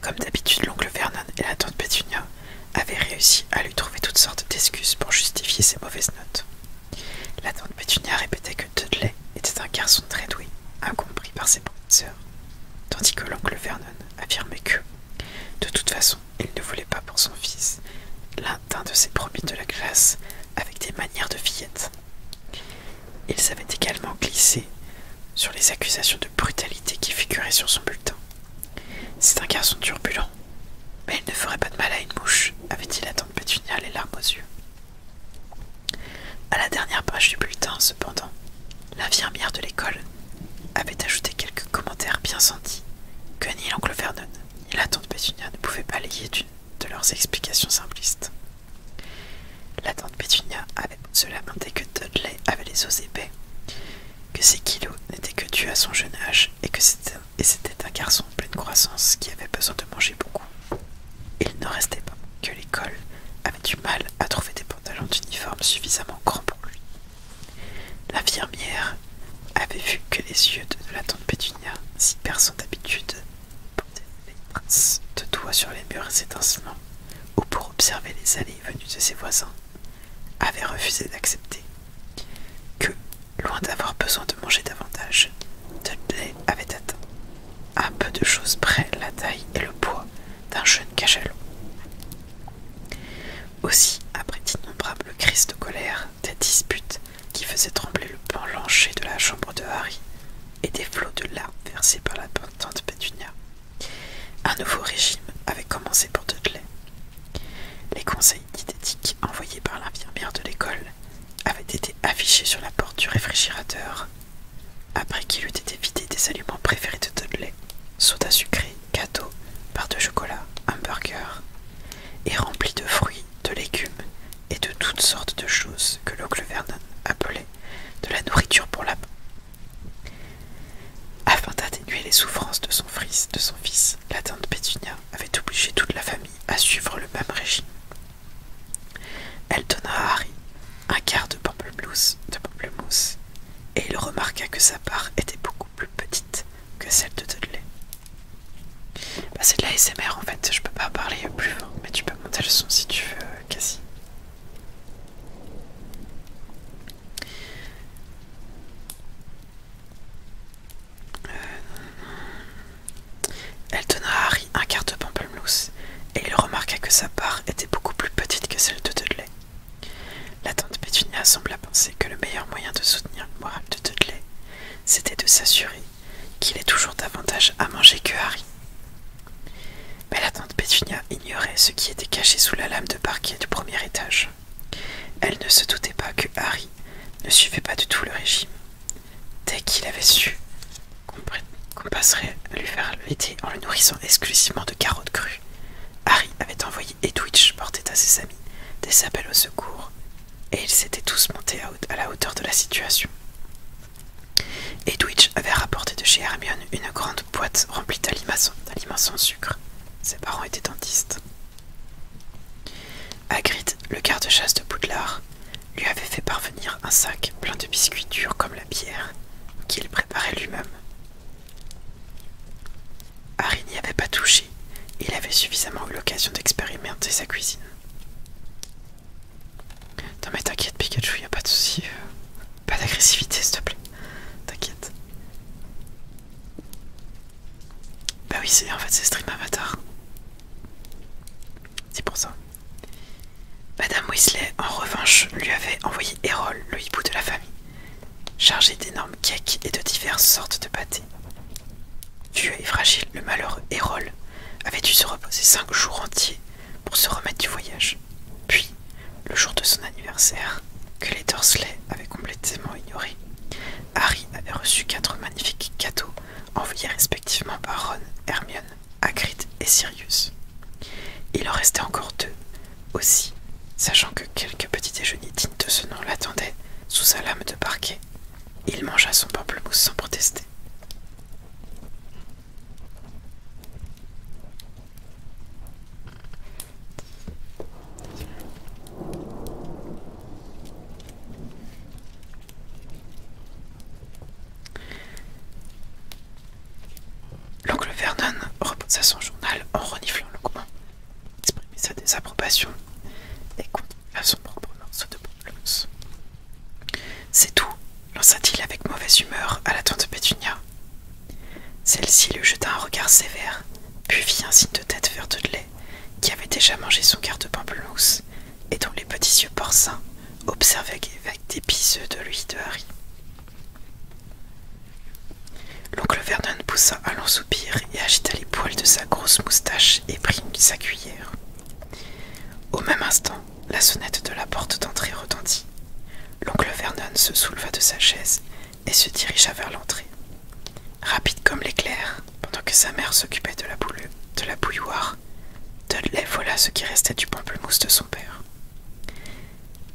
[SPEAKER 1] Comme d'habitude, l'oncle Vernon et la tante Pétunia avaient réussi à lui trouver toutes sortes d'excuses pour justifier ses mauvaises notes. La tante Pétunia répétait que Dudley était un garçon très doué, incompris par ses professeurs, tandis que l'oncle Vernon affirmait que, de toute façon, il ne voulait pas pour son fils l'un de ses promis de la classe avec des manières de fillette. Ils avaient également glissé sur les accusations de brutalité qui figurait sur son bulletin. C'est un garçon turbulent, mais il ne ferait pas de mal à une mouche, avait-il la tante Pétunia les larmes aux yeux. À la dernière page du bulletin, cependant, l'infirmière de l'école avait ajouté quelques commentaires bien sentis que ni l'oncle Vernon ni la tante Pétunia ne pouvaient balayer d'une de leurs explications simplistes. La tante Pétunia avait se lamenté que Dudley avait les os épais, que ses kilos n'étaient que dus à son jeune âge et que c'était un garçon en pleine croissance qui avait besoin de manger beaucoup. Il ne restait pas que l'école avait du mal à trouver des pantalons d'uniforme suffisamment grands pour lui. L'infirmière avait vu que les yeux de la tante Pétunia, si personne d'habitude, portaient des traces de doigts sur les murs et étincelants, ou pour observer les allées venues de ses voisins, avait refusé d'accepter que, loin d'avoir besoin de manger davantage, Dudley avait atteint, à peu de choses près, la taille et le poids d'un jeune cachalot. Aussi, après d'innombrables crises de colère, des disputes qui faisaient trembler le pan de la chambre de Harry et des flots de larmes versés par la pentante Petunia, un nouveau régime avait commencé pour Dudley. Les conseils diététiques envoyés par l'infirmière de l'école avaient été affichés sur la porte du réfrigérateur, après qu'il eût été vidé des aliments préférés de Dudley, soda sucré, gâteau, barres de chocolat, hamburger, et rempli de fruits, de légumes et de toutes sortes de choses que l'oncle Vernon appelait de la nourriture pour la afin d'atténuer les souffrances de son, fils, de la tante Pétunia avait obligé toute la famille à suivre le même régime. Elle donna à Harry un quart de pamplemousse, de et il remarqua que sa part était beaucoup plus petite que celle de Dudley. Bah, c'est de l'ASMR en fait, je ne peux pas parler plus fort, mais tu peux monter le son si tu veux, euh, Cassie. Euh, elle donna à Harry un quart de pamplemousse et il remarqua que sa part était beaucoup plus petite que celle de Dudley. La tante Pétunia sembla penser que le meilleur moyen de soutenir le de Dudley, c'était de s'assurer qu'il ait toujours davantage à manger que Harry. Mais la tante Petunia ignorait ce qui était caché sous la lame de parquet du premier étage. Elle ne se doutait pas que Harry ne suivait pas du tout le régime. Dès qu'il avait su qu'on passerait à lui faire l'été en le nourrissant exclusivement de carottes crues, Harry avait envoyé Edwidge porter à ses amis des appels au secours, et ils s'étaient tous montés à la hauteur de la situation. Edwidge avait rapporté de chez Hermione une grande boîte remplie d'aliments sans sucre. Ses parents étaient dentistes. Hagrid, le garde-chasse de Poudlard, lui avait fait parvenir un sac plein de biscuits durs comme la bière, qu'il préparait lui-même. Harry n'y avait pas touché, il avait suffisamment eu l'occasion d'expérimenter sa cuisine. Non mais t'inquiète Pikachu, y pas de souci. Pas d'agressivité, s'il te plaît. T'inquiète. Bah oui, c'est en fait c'est stream avatar. C'est pour ça. Madame Weasley, en revanche, lui avait envoyé Erol, le hibou de la famille, chargé d'énormes cakes et de diverses sortes de pâtés. Vieux et fragile, le malheur Erol avait dû se reposer cinq jours entiers pour se remettre du voyage puis, le jour de son anniversaire, que les Dursley avaient complètement ignoré, Harry avait reçu quatre magnifiques cadeaux envoyés respectivement par Ron, Hermione, Hagrid et Sirius. Il en restait encore deux, aussi, sachant que quelques petits déjeuners dignes de ce nom l'attendaient sous sa lame de parquet. Il mangea son pamplemousse sans protester. L'oncle Vernon reposa son journal en reniflant longuement, exprimait sa désapprobation et à son propre morceau de promesse. C'est tout, lança-t-il avec mauvaise humeur à la tante Pétunia. Celle-ci lui jeta un regard sévère, puis vit un signe de tête de lait, qui avait déjà mangé son quart de pamplemousse et dont les petits yeux porcins observaient avec des ceux de lui de Harry. L'oncle Vernon poussa un long soupir et agita les poils de sa grosse moustache et prit sa cuillère. Au même instant, la sonnette de la porte d'entrée retentit. L'oncle Vernon se souleva de sa chaise et se dirigea vers l'entrée. Rapide comme l'éclair, pendant que sa mère s'occupait de, de la bouilloire, Dudley voilà ce qui restait du pamplemousse de son père.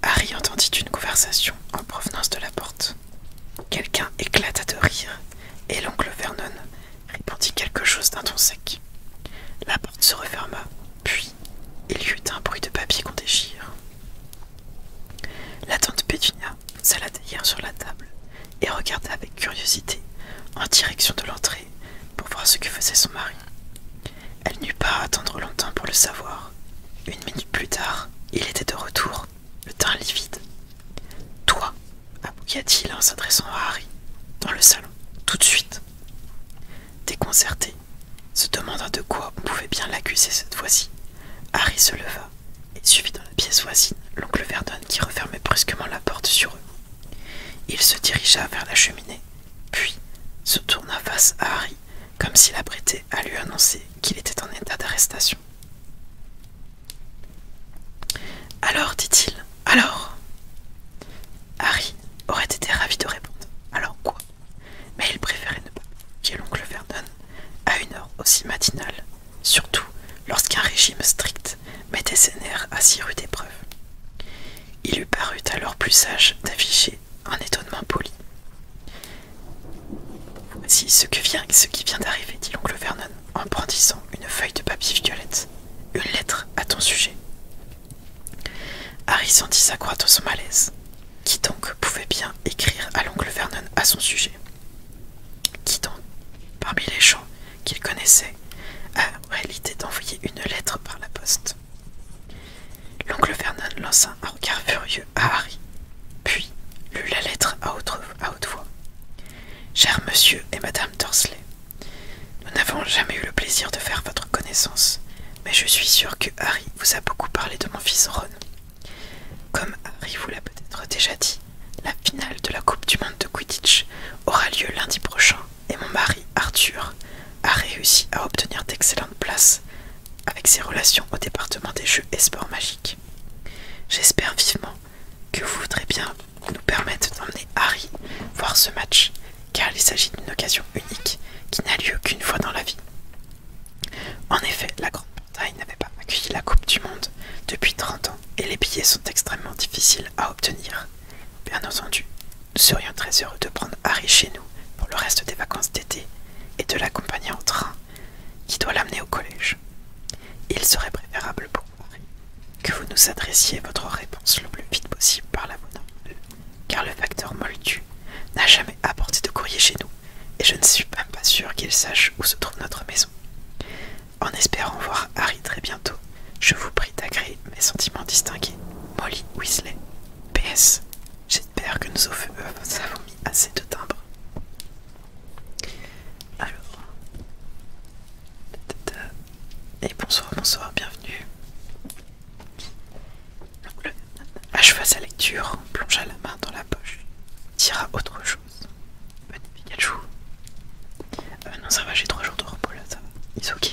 [SPEAKER 1] Harry entendit une conversation en provenance de la porte. Quelqu'un éclata de rire, et l'oncle Vernon répondit quelque chose d'un ton sec. La porte se referma, puis il y eut un bruit de papier qu'on déchire. La tante Pétunia s'allait derrière sur la table et regarda avec curiosité en direction de l'entrée pour voir ce que faisait son mari. Elle n'eut pas à attendre longtemps pour le savoir. Une minute plus tard, il était de retour, le teint livide. Toi, appuya t il en s'adressant à Harry, dans le salon, tout de suite. Déconcerté, se demandant de quoi on pouvait bien l'accuser cette fois-ci. Harry se leva et suivit dans la pièce voisine l'oncle Verdon qui refermait brusquement la porte sur eux. Il se dirigea vers la cheminée, puis se tourna face à Harry comme s'il apprêtait à lui annoncer qu'il était en état d'arrestation. Alors, dit-il, alors Harry aurait été ravi de répondre. Alors quoi mais il préférait ne pas dit l'oncle Vernon à une heure aussi matinale, surtout lorsqu'un régime strict mettait ses nerfs à si rude épreuve. Il eût paru alors plus sage d'afficher un étonnement poli. Voici ce, que vient, ce qui vient d'arriver, dit l'oncle Vernon en brandissant une feuille de papier violette, une lettre à ton sujet. Harry sentit sa dans son malaise. Qui donc pouvait bien écrire à l'oncle Vernon à son sujet Qui donc, parmi les gens qu'il connaissait, a réalité d'envoyer une lettre par la poste L'oncle Vernon lança un regard furieux à Harry, puis lut la lettre à, haute voix. Cher monsieur et madame Dorsley, nous n'avons jamais eu le plaisir de faire votre connaissance, mais je suis sûr que Harry vous a beaucoup parlé de mon fils Ron. Comme Harry vous l'a peut-être déjà dit, la finale de la Coupe du Monde de Quidditch aura lieu lundi prochain et mon mari Arthur a réussi à obtenir d'excellentes places avec ses relations au département des jeux et sports magiques. J'espère vivement que vous voudrez bien nous permettre d'emmener Harry voir ce match car il s'agit d'une occasion unique qui n'a lieu qu'une fois dans la vie. En effet, la Grande-Bretagne n'avait pas accueilli la Coupe du Monde depuis 30 ans et les billets sont extrêmement difficiles à obtenir. Bien entendu, nous serions très heureux de prendre Harry chez nous pour le reste des vacances d'été et de l'accompagner en train qui doit l'amener au collège. Il serait préférable pour Harry que vous nous adressiez votre réponse le plus vite possible par la poste, car le facteur moldu n'a jamais apporté de courrier chez nous, et je ne suis même pas sûr qu'il sache où se trouve notre maison. En espérant voir Harry très bientôt, je vous prie d'agréer mes sentiments distingués. Molly Weasley. PS. J'espère que euh, nous avons mis assez de timbres. Alors. Et bonsoir, bonsoir, bienvenue. L'oncle acheva sa lecture, plongea la main dans la poche, tira autre chose. Un Pikachu. Ah bah non, ça va, j'ai trois jours de repos là, ça va. est ok.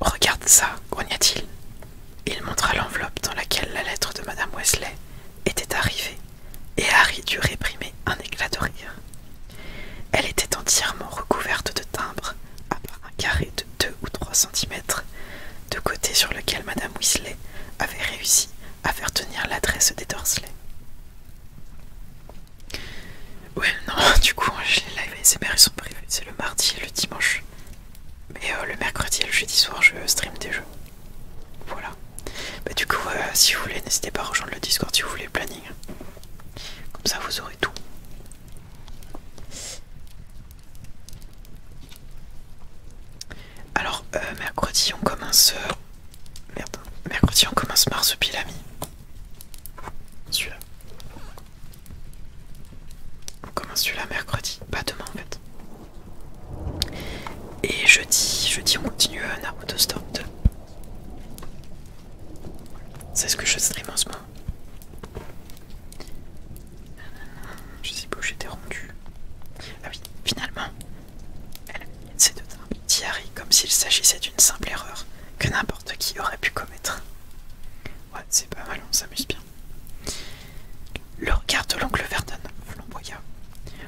[SPEAKER 1] Regarde ça, grogna-t-il. Il montra l'enveloppe dans laquelle la lettre de Mme Wesley était arrivée, et Harry dut réprimer un éclat de rire. Elle était entièrement recouverte de timbres à part un carré de 2 ou 3 cm de côté sur lequel Madame Weasley avait réussi à faire tenir l'adresse des Dorsley. Ouais, non, du coup, les live ASMR ils sont prévus, c'est le mardi et le dimanche. Mais euh, le mercredi et le jeudi soir, je stream des jeux. Voilà. Bah, du coup, euh, si vous voulez, n'hésitez pas à rejoindre le Discord si vous voulez le planning. Comme ça, vous aurez tout. Alors euh, mercredi on commence euh, merde mercredi on commence marsupilami celui-là on commence celui-là mercredi pas demain en fait et jeudi jeudi on continue à euh, Naruto Stop 2 c'est ce que je stream en ce moment je sais pas où j'étais rendu. Ah oui, finalement, elle de tard, comme s'il s'agissait d'une simple erreur que n'importe qui aurait pu commettre. Ouais, c'est pas mal, on s'amuse bien. Le regard de l'oncle Vernon flamboya.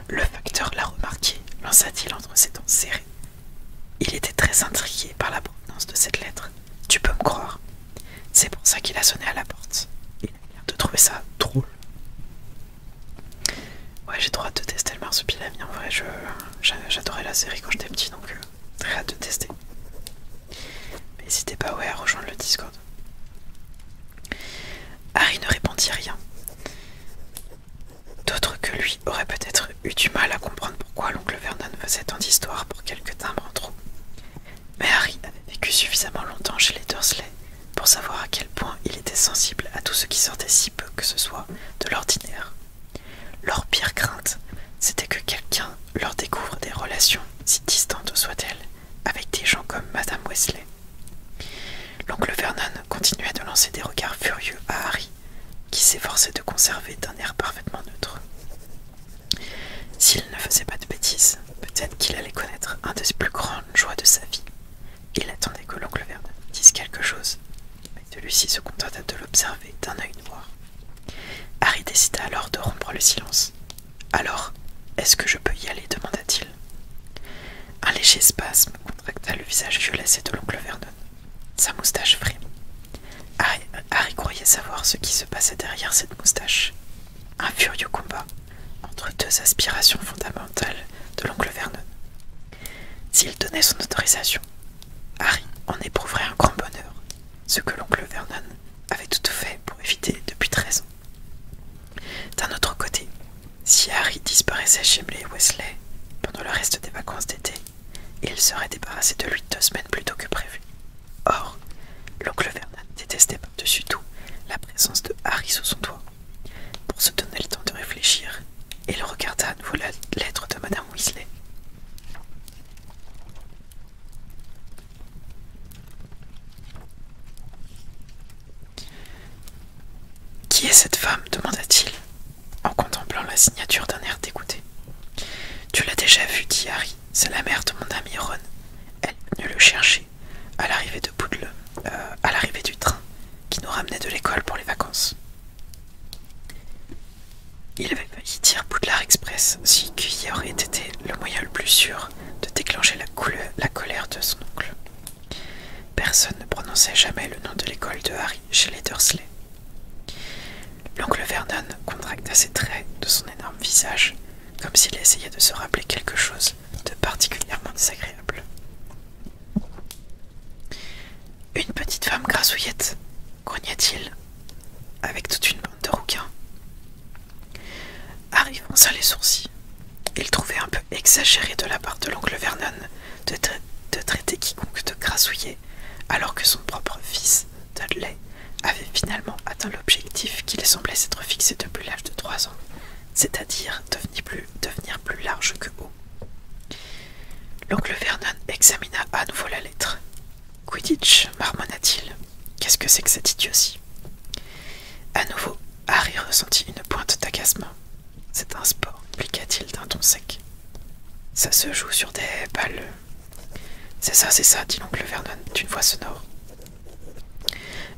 [SPEAKER 1] Le facteur l'a remarqué, lança-t-il entre ses dents serrées. Il était très intrigué par la provenance de cette lettre. Tu peux me croire. C'est pour ça qu'il a sonné à la porte. Il a l'air de trouver ça drôle. Ouais, j'ai droit de tester le marsupilami. En vrai, j'adorais la série quand j'étais petit, donc euh, très hâte de tester. Mais n'hésitez pas ouais, à rejoindre le Discord. Harry ne répondit rien. D'autres que lui auraient peut-être eu du mal à comprendre pourquoi l'oncle Vernon faisait tant d'histoires pour quelques timbres en trop. Mais Harry avait vécu suffisamment longtemps chez les Dursley pour savoir à quel point il était sensible à tout ce qui sortait si peu que ce soit de l'ordinaire. Leur pire crainte, c'était que quelqu'un leur découvre des relations, si distantes soient-elles, avec des gens comme Madame Wesley. L'oncle Vernon continuait de lancer des regards furieux à Harry, qui s'efforçait de conserver d'un air parfaitement neutre. S'il ne faisait pas de bêtises, peut-être qu'il allait connaître un ses plus grandes joies de sa vie. Il attendait que l'oncle Vernon dise quelque chose, mais celui-ci se contenta de l'observer d'un œil noir. Harry décida alors de rompre le silence. Alors, est-ce que je peux y aller demanda-t-il. Un léger spasme contracta le visage violacé de l'oncle Vernon. Sa moustache frémit. Harry croyait savoir ce qui se passait derrière cette moustache. Un furieux combat entre deux aspirations fondamentales de l'oncle Vernon. S'il donnait son autorisation, Harry en éprouverait un grand bonheur, ce que l'oncle Vernon avait tout fait pour éviter depuis 13 ans. D'un autre côté, si Harry disparaissait chez les Wesley pendant le reste des vacances d'été, il serait débarrassé de lui deux semaines plus tôt que prévu. Or, l'oncle Vernon détestait par-dessus tout la présence de Harry sous son doigt. Pour se donner le temps de réfléchir, il regarda à nouveau la lettre de Madame Weasley. Qui est cette femme demanda-t-il en contemplant la signature d'un air dégoûté. Tu l'as déjà vue, dit Harry c'est la mère de mon ami Ron. Elle venait le chercher à l'arrivée de euh, à l'arrivée du train qui nous ramenait de l'école pour les vacances. Il avait failli dire Poudlard Express si qui aurait été le moyen le plus sûr de déclencher la, la colère de son oncle. Personne ne prononçait jamais le nom de l'école de Harry chez les Dursley. L'oncle Vernon contracta ses traits de son énorme visage comme s'il essayait de se rappeler quelque chose de particulièrement désagréable. Une petite femme grassouillette, grognait t il avec toute une bande de rouquins. arrivant à les sourcils. Il trouvait un peu exagéré de la part de l'oncle Vernon de, de traiter quiconque de grassouillet alors que son propre fils Dudley avait finalement atteint l'objectif qu'il semblait s'être fixé depuis l'âge de trois ans, c'est-à-dire devenir plus, large que haut. L'oncle Vernon examina à nouveau la lettre. Quidditch, marmonna-t-il. Qu'est-ce que c'est que cette » À nouveau, Harry ressentit une pointe d'agacement. C'est un sport, expliqua-t-il d'un ton sec. Ça se joue sur des balles. C'est ça, c'est ça, dit l'oncle Vernon d'une voix sonore.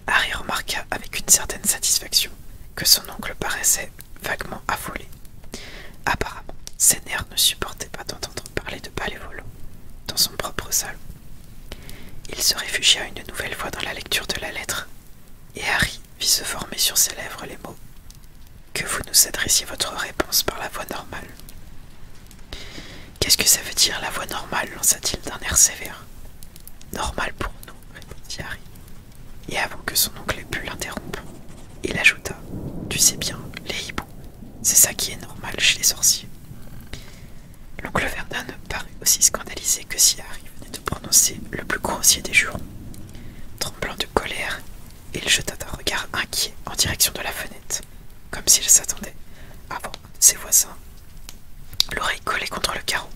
[SPEAKER 1] Harry remarqua avec une certaine satisfaction que son oncle paraissait vaguement affolé. Apparemment, ses nerfs ne supportaient pas d'entendre parler de palais dans son propre salon. Il se réfugia une nouvelle fois dans la lecture de la lettre, et Harry vit se former sur ses lèvres les mots Que vous nous adressiez votre réponse par la voix normale. Qu'est-ce que ça veut dire la voix normale lança-t-il d'un air sévère. Normal pour nous, répondit Harry. Et avant que son oncle ait pu l'interrompre, il ajouta Tu sais bien, les hiboux, c'est ça qui est normal chez les sorciers. L'oncle ne parut aussi scandalisé que si Harry venait de prononcer le plus grossier des jurons. Tremblant de colère, il jeta un regard inquiet en direction de la fenêtre, comme s'il s'attendait, voir ses voisins, l'oreille collée contre le carreau.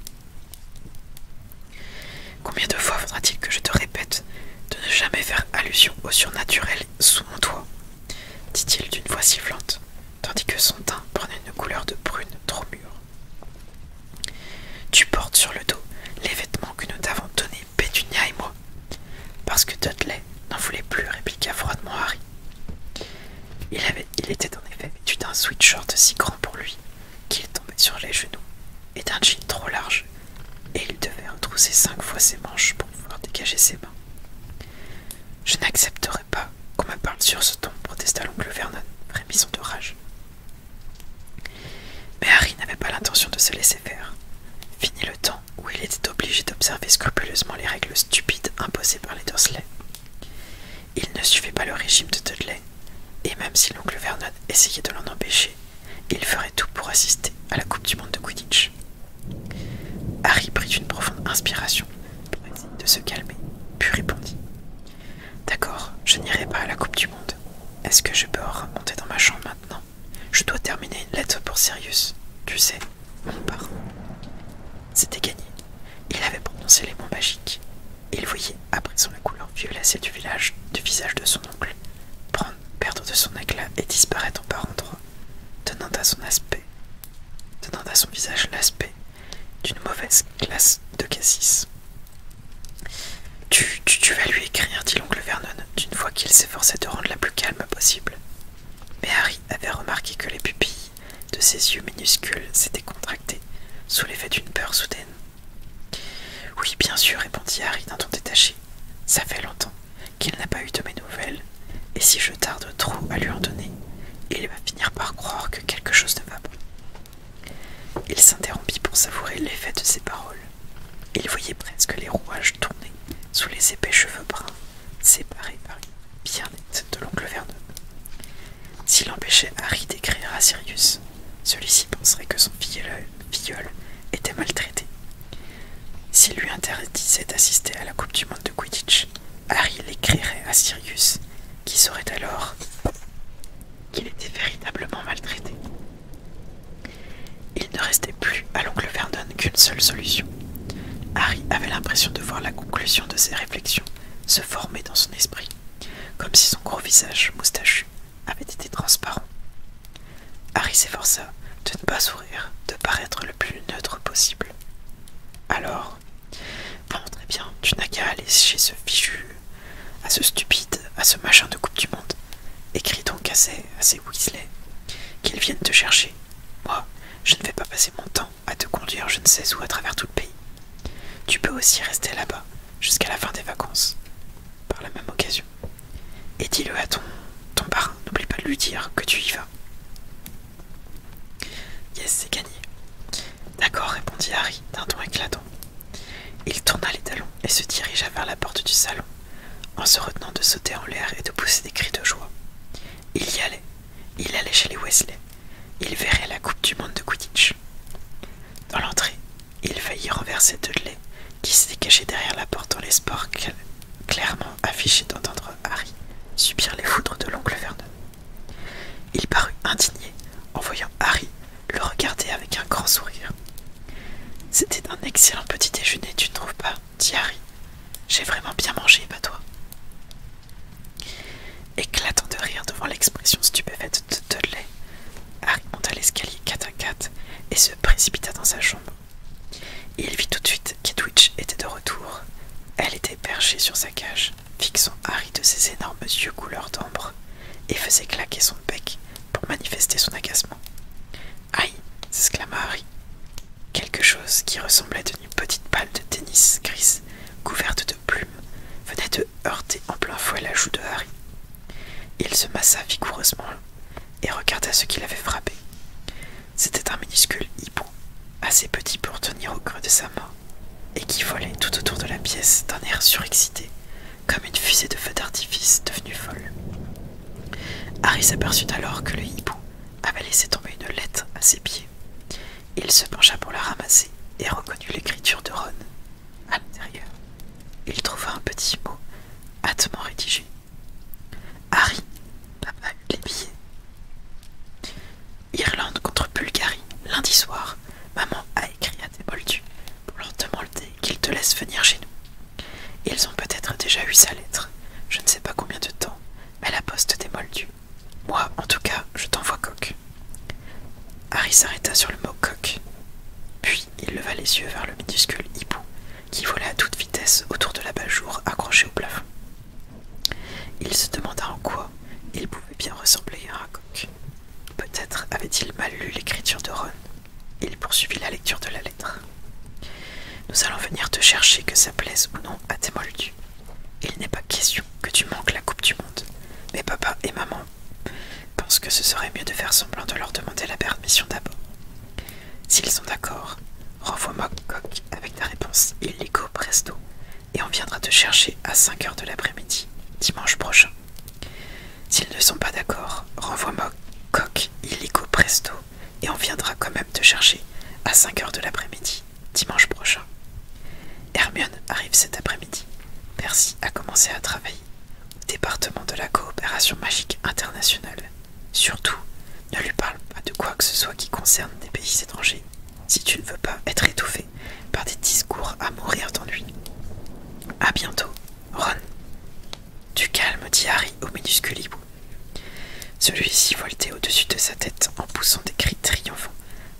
[SPEAKER 1] Combien de fois faudra-t-il que je te répète de ne jamais faire allusion au surnaturel sous mon toit dit-il d'une voix sifflante, tandis que son teint prenait une couleur de brune trop mûre. Tu portes sur le dos les vêtements que nous t'avons donnés, Pétunia et moi. Parce que Dudley n'en voulait plus, répliqua froidement Harry. Il, était en effet vêtu d'un sweatshirt si grand pour lui qu'il tombait sur les genoux et d'un jean trop large, et il devait retrousser cinq fois ses manches pour pouvoir dégager ses mains. Je n'accepterai pas qu'on me parle sur ce ton, protesta l'oncle Vernon, frémissant de rage. Mais Harry n'avait pas l'intention de se laisser faire. Fini le temps où il était obligé d'observer scrupuleusement les règles stupides imposées par les Dursley. Il ne suivait pas le régime de Dudley, et même si l'oncle Vernon essayait de l'en empêcher, il ferait tout pour assister à la Coupe du Monde de Quidditch. Harry prit une profonde inspiration pour essayer de se calmer, puis répondit D'accord, je n'irai pas à la Coupe du Monde. Est-ce que je peux remonter dans ma chambre maintenant Je dois terminer une lettre pour Sirius. Tu sais, mon part. » C'était gagné. Il avait prononcé les mots magiques. Il voyait, après son la couleur violacée du, visage de son oncle, prendre, perdre de son éclat et disparaître par endroits, donnant à son aspect, donnant à son visage l'aspect d'une mauvaise glace de cassis. tu vas lui écrire, dit l'oncle Vernon, d'une voix qu'il s'efforçait de rendre la plus calme possible. Mais Harry avait remarqué que les pupilles de ses yeux minuscules, s'étaient contractés sous l'effet d'une peur soudaine. Oui, bien sûr, répondit Harry d'un ton détaché. Ça fait longtemps qu'il n'a pas eu de mes nouvelles, et si je tarde trop à lui en donner, il va finir par croire que quelque chose ne va pas. Il s'interrompit pour savourer l'effet de ses paroles. Il voyait presque les rouages tourner sous les épais cheveux bruns séparé par une pierre nette de l'oncle Vernon. S'il empêchait Harry d'écrire à Sirius, celui-ci penserait que son filleul était maltraité. S'il lui interdisait d'assister à la Coupe du Monde de Quidditch, Harry l'écrirait à Sirius, qui saurait alors qu'il était véritablement maltraité. Il ne restait plus à l'oncle Vernon qu'une seule solution. Harry avait l'impression de voir la conclusion de ses réflexions se former dans son esprit, comme si son gros visage moustachu avait été transparent. Harry s'efforça de ne pas sourire, de paraître le plus neutre possible. Alors, bon, très bien, tu n'as qu'à aller chez ce fichu, à ce stupide, à ce machin de Coupe du Monde. Écris donc à ces, à Weasley qu'ils viennent te chercher. Moi, je ne vais pas passer mon temps à te conduire je ne sais où à travers tout le pays. Tu peux aussi rester là-bas jusqu'à la fin des vacances, par la même occasion. Et dis-le à ton, ton parrain, n'oublie pas de lui dire que tu y vas. Yes, c'est gagné. D'accord, répondit Harry d'un ton éclatant. Il tourna les talons et se dirigea vers la porte du salon, en se retenant de sauter en l'air et de pousser des cris de joie. Il y allait, il allait chez les Wesley. Il verrait la Coupe du Monde de Quidditch. Dans l'entrée, il faillit renverser Dudley, qui s'était caché derrière la porte dans l'espoir clairement affiché d'entendre Harry subir les foudres de l'oncle Vernon. Il parut indigné en voyant Harry le regarder avec un grand sourire. C'était un excellent petit déjeuner, tu ne trouves pas dit Harry. J'ai vraiment bien mangé, pas toi Éclatant de rire devant l'expression stupéfaite de Dudley, Harry monta l'escalier 4 à 4 et se précipita dans sa chambre. Il vit tout de suite qu'Edwidge était de retour. Elle était perchée sur sa cage, fixant Harry de ses énormes yeux couleur d'ambre, et faisait claquer son bec pour manifester son agacement. Aïe s'exclama Harry. Quelque chose qui ressemblait à une petite balle de tennis grise couverte de plumes, venait de heurter en plein fouet la joue de Harry. Il se massa vigoureusement et regarda ce qu'il avait frappé. C'était un minuscule hibou, assez petit pour tenir au creux de sa main, et qui volait tout autour de la pièce d'un air surexcité, comme une fusée de feu d'artifice devenue folle. Harry s'aperçut alors que le hibou avait laissé tomber une lettre à ses pieds il se pencha pour la ramasser et reconnut l'écriture de Ron. À l'intérieur, il trouva un petit mot hâtement rédigé. Harry, papa les billets. Irlande contre Bulgarie, lundi soir, maman a écrit à moldus pour leur demander qu'ils te laissent venir chez nous. Ils ont peut-être déjà eu sa lettre, je ne sais pas combien de temps, mais la poste moldus moi, en tout cas, je t'envoie coq. Harry s'arrêta sur le mot coq. Puis il leva les yeux vers le minuscule hibou qui volait à toute vitesse autour de la jour accroché au plafond. Il se demanda en quoi il pouvait bien ressembler à un coq. Peut-être avait-il mal lu l'écriture de Ron. Il poursuivit la lecture de la lettre. Nous allons venir te chercher que ça plaise ou non à tes il n'est pas question que tu manques la Coupe du Monde, mais papa et maman pensent que ce serait mieux de faire semblant de leur demander la permission d'abord. S'ils sont d'accord, renvoie-moi Coq avec ta réponse illico presto et on viendra te chercher à 5 h de l'après-midi, dimanche prochain. S'ils ne sont pas d'accord, renvoie-moi Coq illico presto et on viendra quand même te chercher à 5 h de l'après-midi, dimanche prochain. Hermione arrive cet après-midi. Percy a commencé à travailler au département de la coopération magique internationale. Surtout, ne lui parle pas de quoi que ce soit qui concerne des pays étrangers, si tu ne veux pas être étouffé par des discours à mourir d'ennui. A bientôt, Ron. Du calme, dit Harry au minuscule hibou. Celui-ci voltait au-dessus de sa tête en poussant des cris triomphants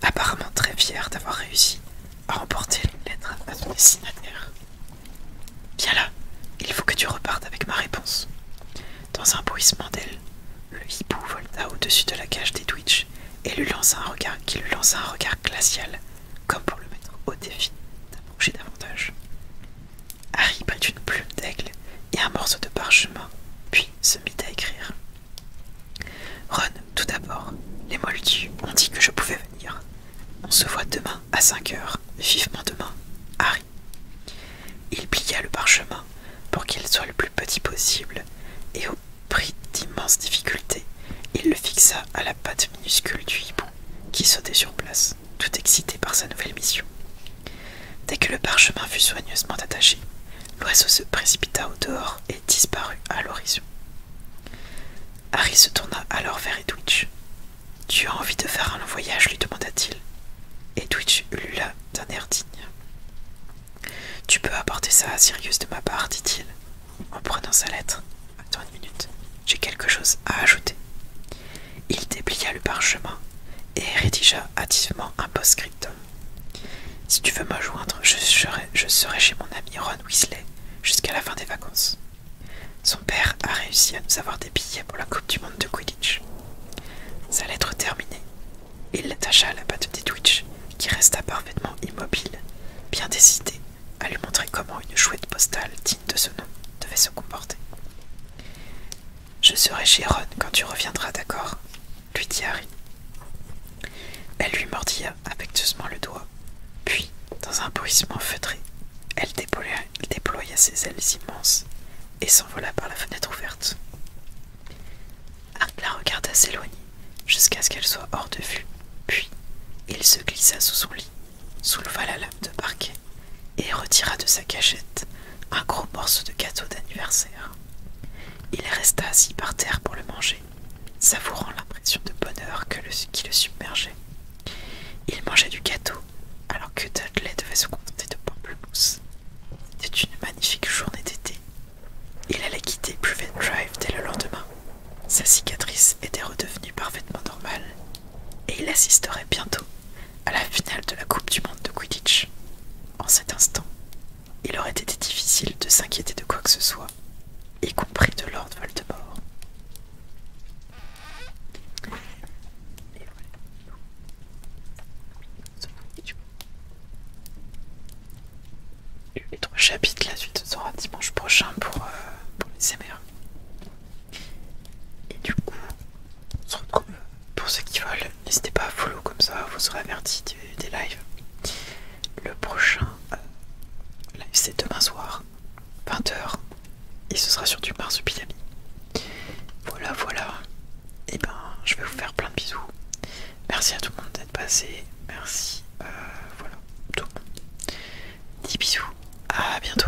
[SPEAKER 1] apparemment très fière d'avoir réussi à emporter une lettre à son destinataire. Viens là, il faut que tu repartes avec ma réponse. Dans un bruissement d'ailes, le hibou volta au-dessus de la cage des Twitch et lui lança un regard qui lui lança un regard glacial, comme pour le mettre au défi d'approcher davantage. Harry prit une plume d'aigle et un morceau de parchemin, puis se mit à écrire. Ron, tout d'abord, les Moldus ont dit que je pouvais venir. On se voit demain à cinq heures, vivement demain, Harry. Il plia le parchemin pour qu'il soit le plus petit possible, et au prix d'immenses difficultés, il le fixa à la patte minuscule du hibou qui sautait sur place, tout excité par sa nouvelle mission. Dès que le parchemin fut soigneusement attaché, L'oiseau se précipita au dehors et disparut à l'horizon. Harry se tourna alors vers Edwidge. Tu as envie de faire un long voyage lui demanda-t-il. Edwidge là d'un air digne. Tu peux apporter ça à Sirius de ma part, dit-il, en prenant sa lettre. Attends une minute, j'ai quelque chose à ajouter. Il déplia le parchemin et rédigea hâtivement un post-scriptum. Si tu veux me joindre, je serai, chez mon ami Ron Weasley jusqu'à la fin des vacances. Son père a réussi à nous avoir des billets pour la Coupe du Monde de Quidditch. Sa lettre terminée, il l'attacha à la patte de Twitch, qui resta parfaitement immobile, bien décidé à lui montrer comment une chouette postale digne de ce nom devait se comporter. Je serai chez Ron quand tu reviendras, d'accord lui dit Harry. Elle lui mordilla affectueusement le doigt, puis, dans un bruissement feutré, elle déploya, déploya ses ailes immenses et s'envola par la fenêtre ouverte. Harry regarda s'éloigner jusqu'à ce qu'elle soit hors de vue, puis il se glissa sous son lit, souleva la lame de parquet et retira de sa cachette un gros morceau de gâteau d'anniversaire. Il resta assis par terre pour le manger, savourant l'impression de bonheur qui le submergeait. Il mangeait du gâteau, alors que Dudley devait se contenter de pommes mousses. C'était une magnifique journée d'été. Il allait quitter Privet Drive dès le lendemain. Sa cicatrice était redevenue parfaitement normale, et il assisterait bientôt à la finale de la Coupe du Monde de Quidditch. En cet instant, il aurait été difficile de s'inquiéter de quoi que ce soit, y compris de Lord Voldemort. Et voilà. Les trois chapitres, la suite sera dimanche prochain pour, euh, les CMR. Et du coup, euh, pour ceux qui veulent. N'hésitez pas à follow comme ça, vous serez avertis des lives. Le prochain, euh, live, c'est demain soir, 20h, et ce sera sur du marsupilami. Voilà, voilà. Et eh ben, je vais vous faire plein de bisous. Merci à tout le monde d'être passé. Merci, euh, voilà, tout le 10 bisous, à bientôt.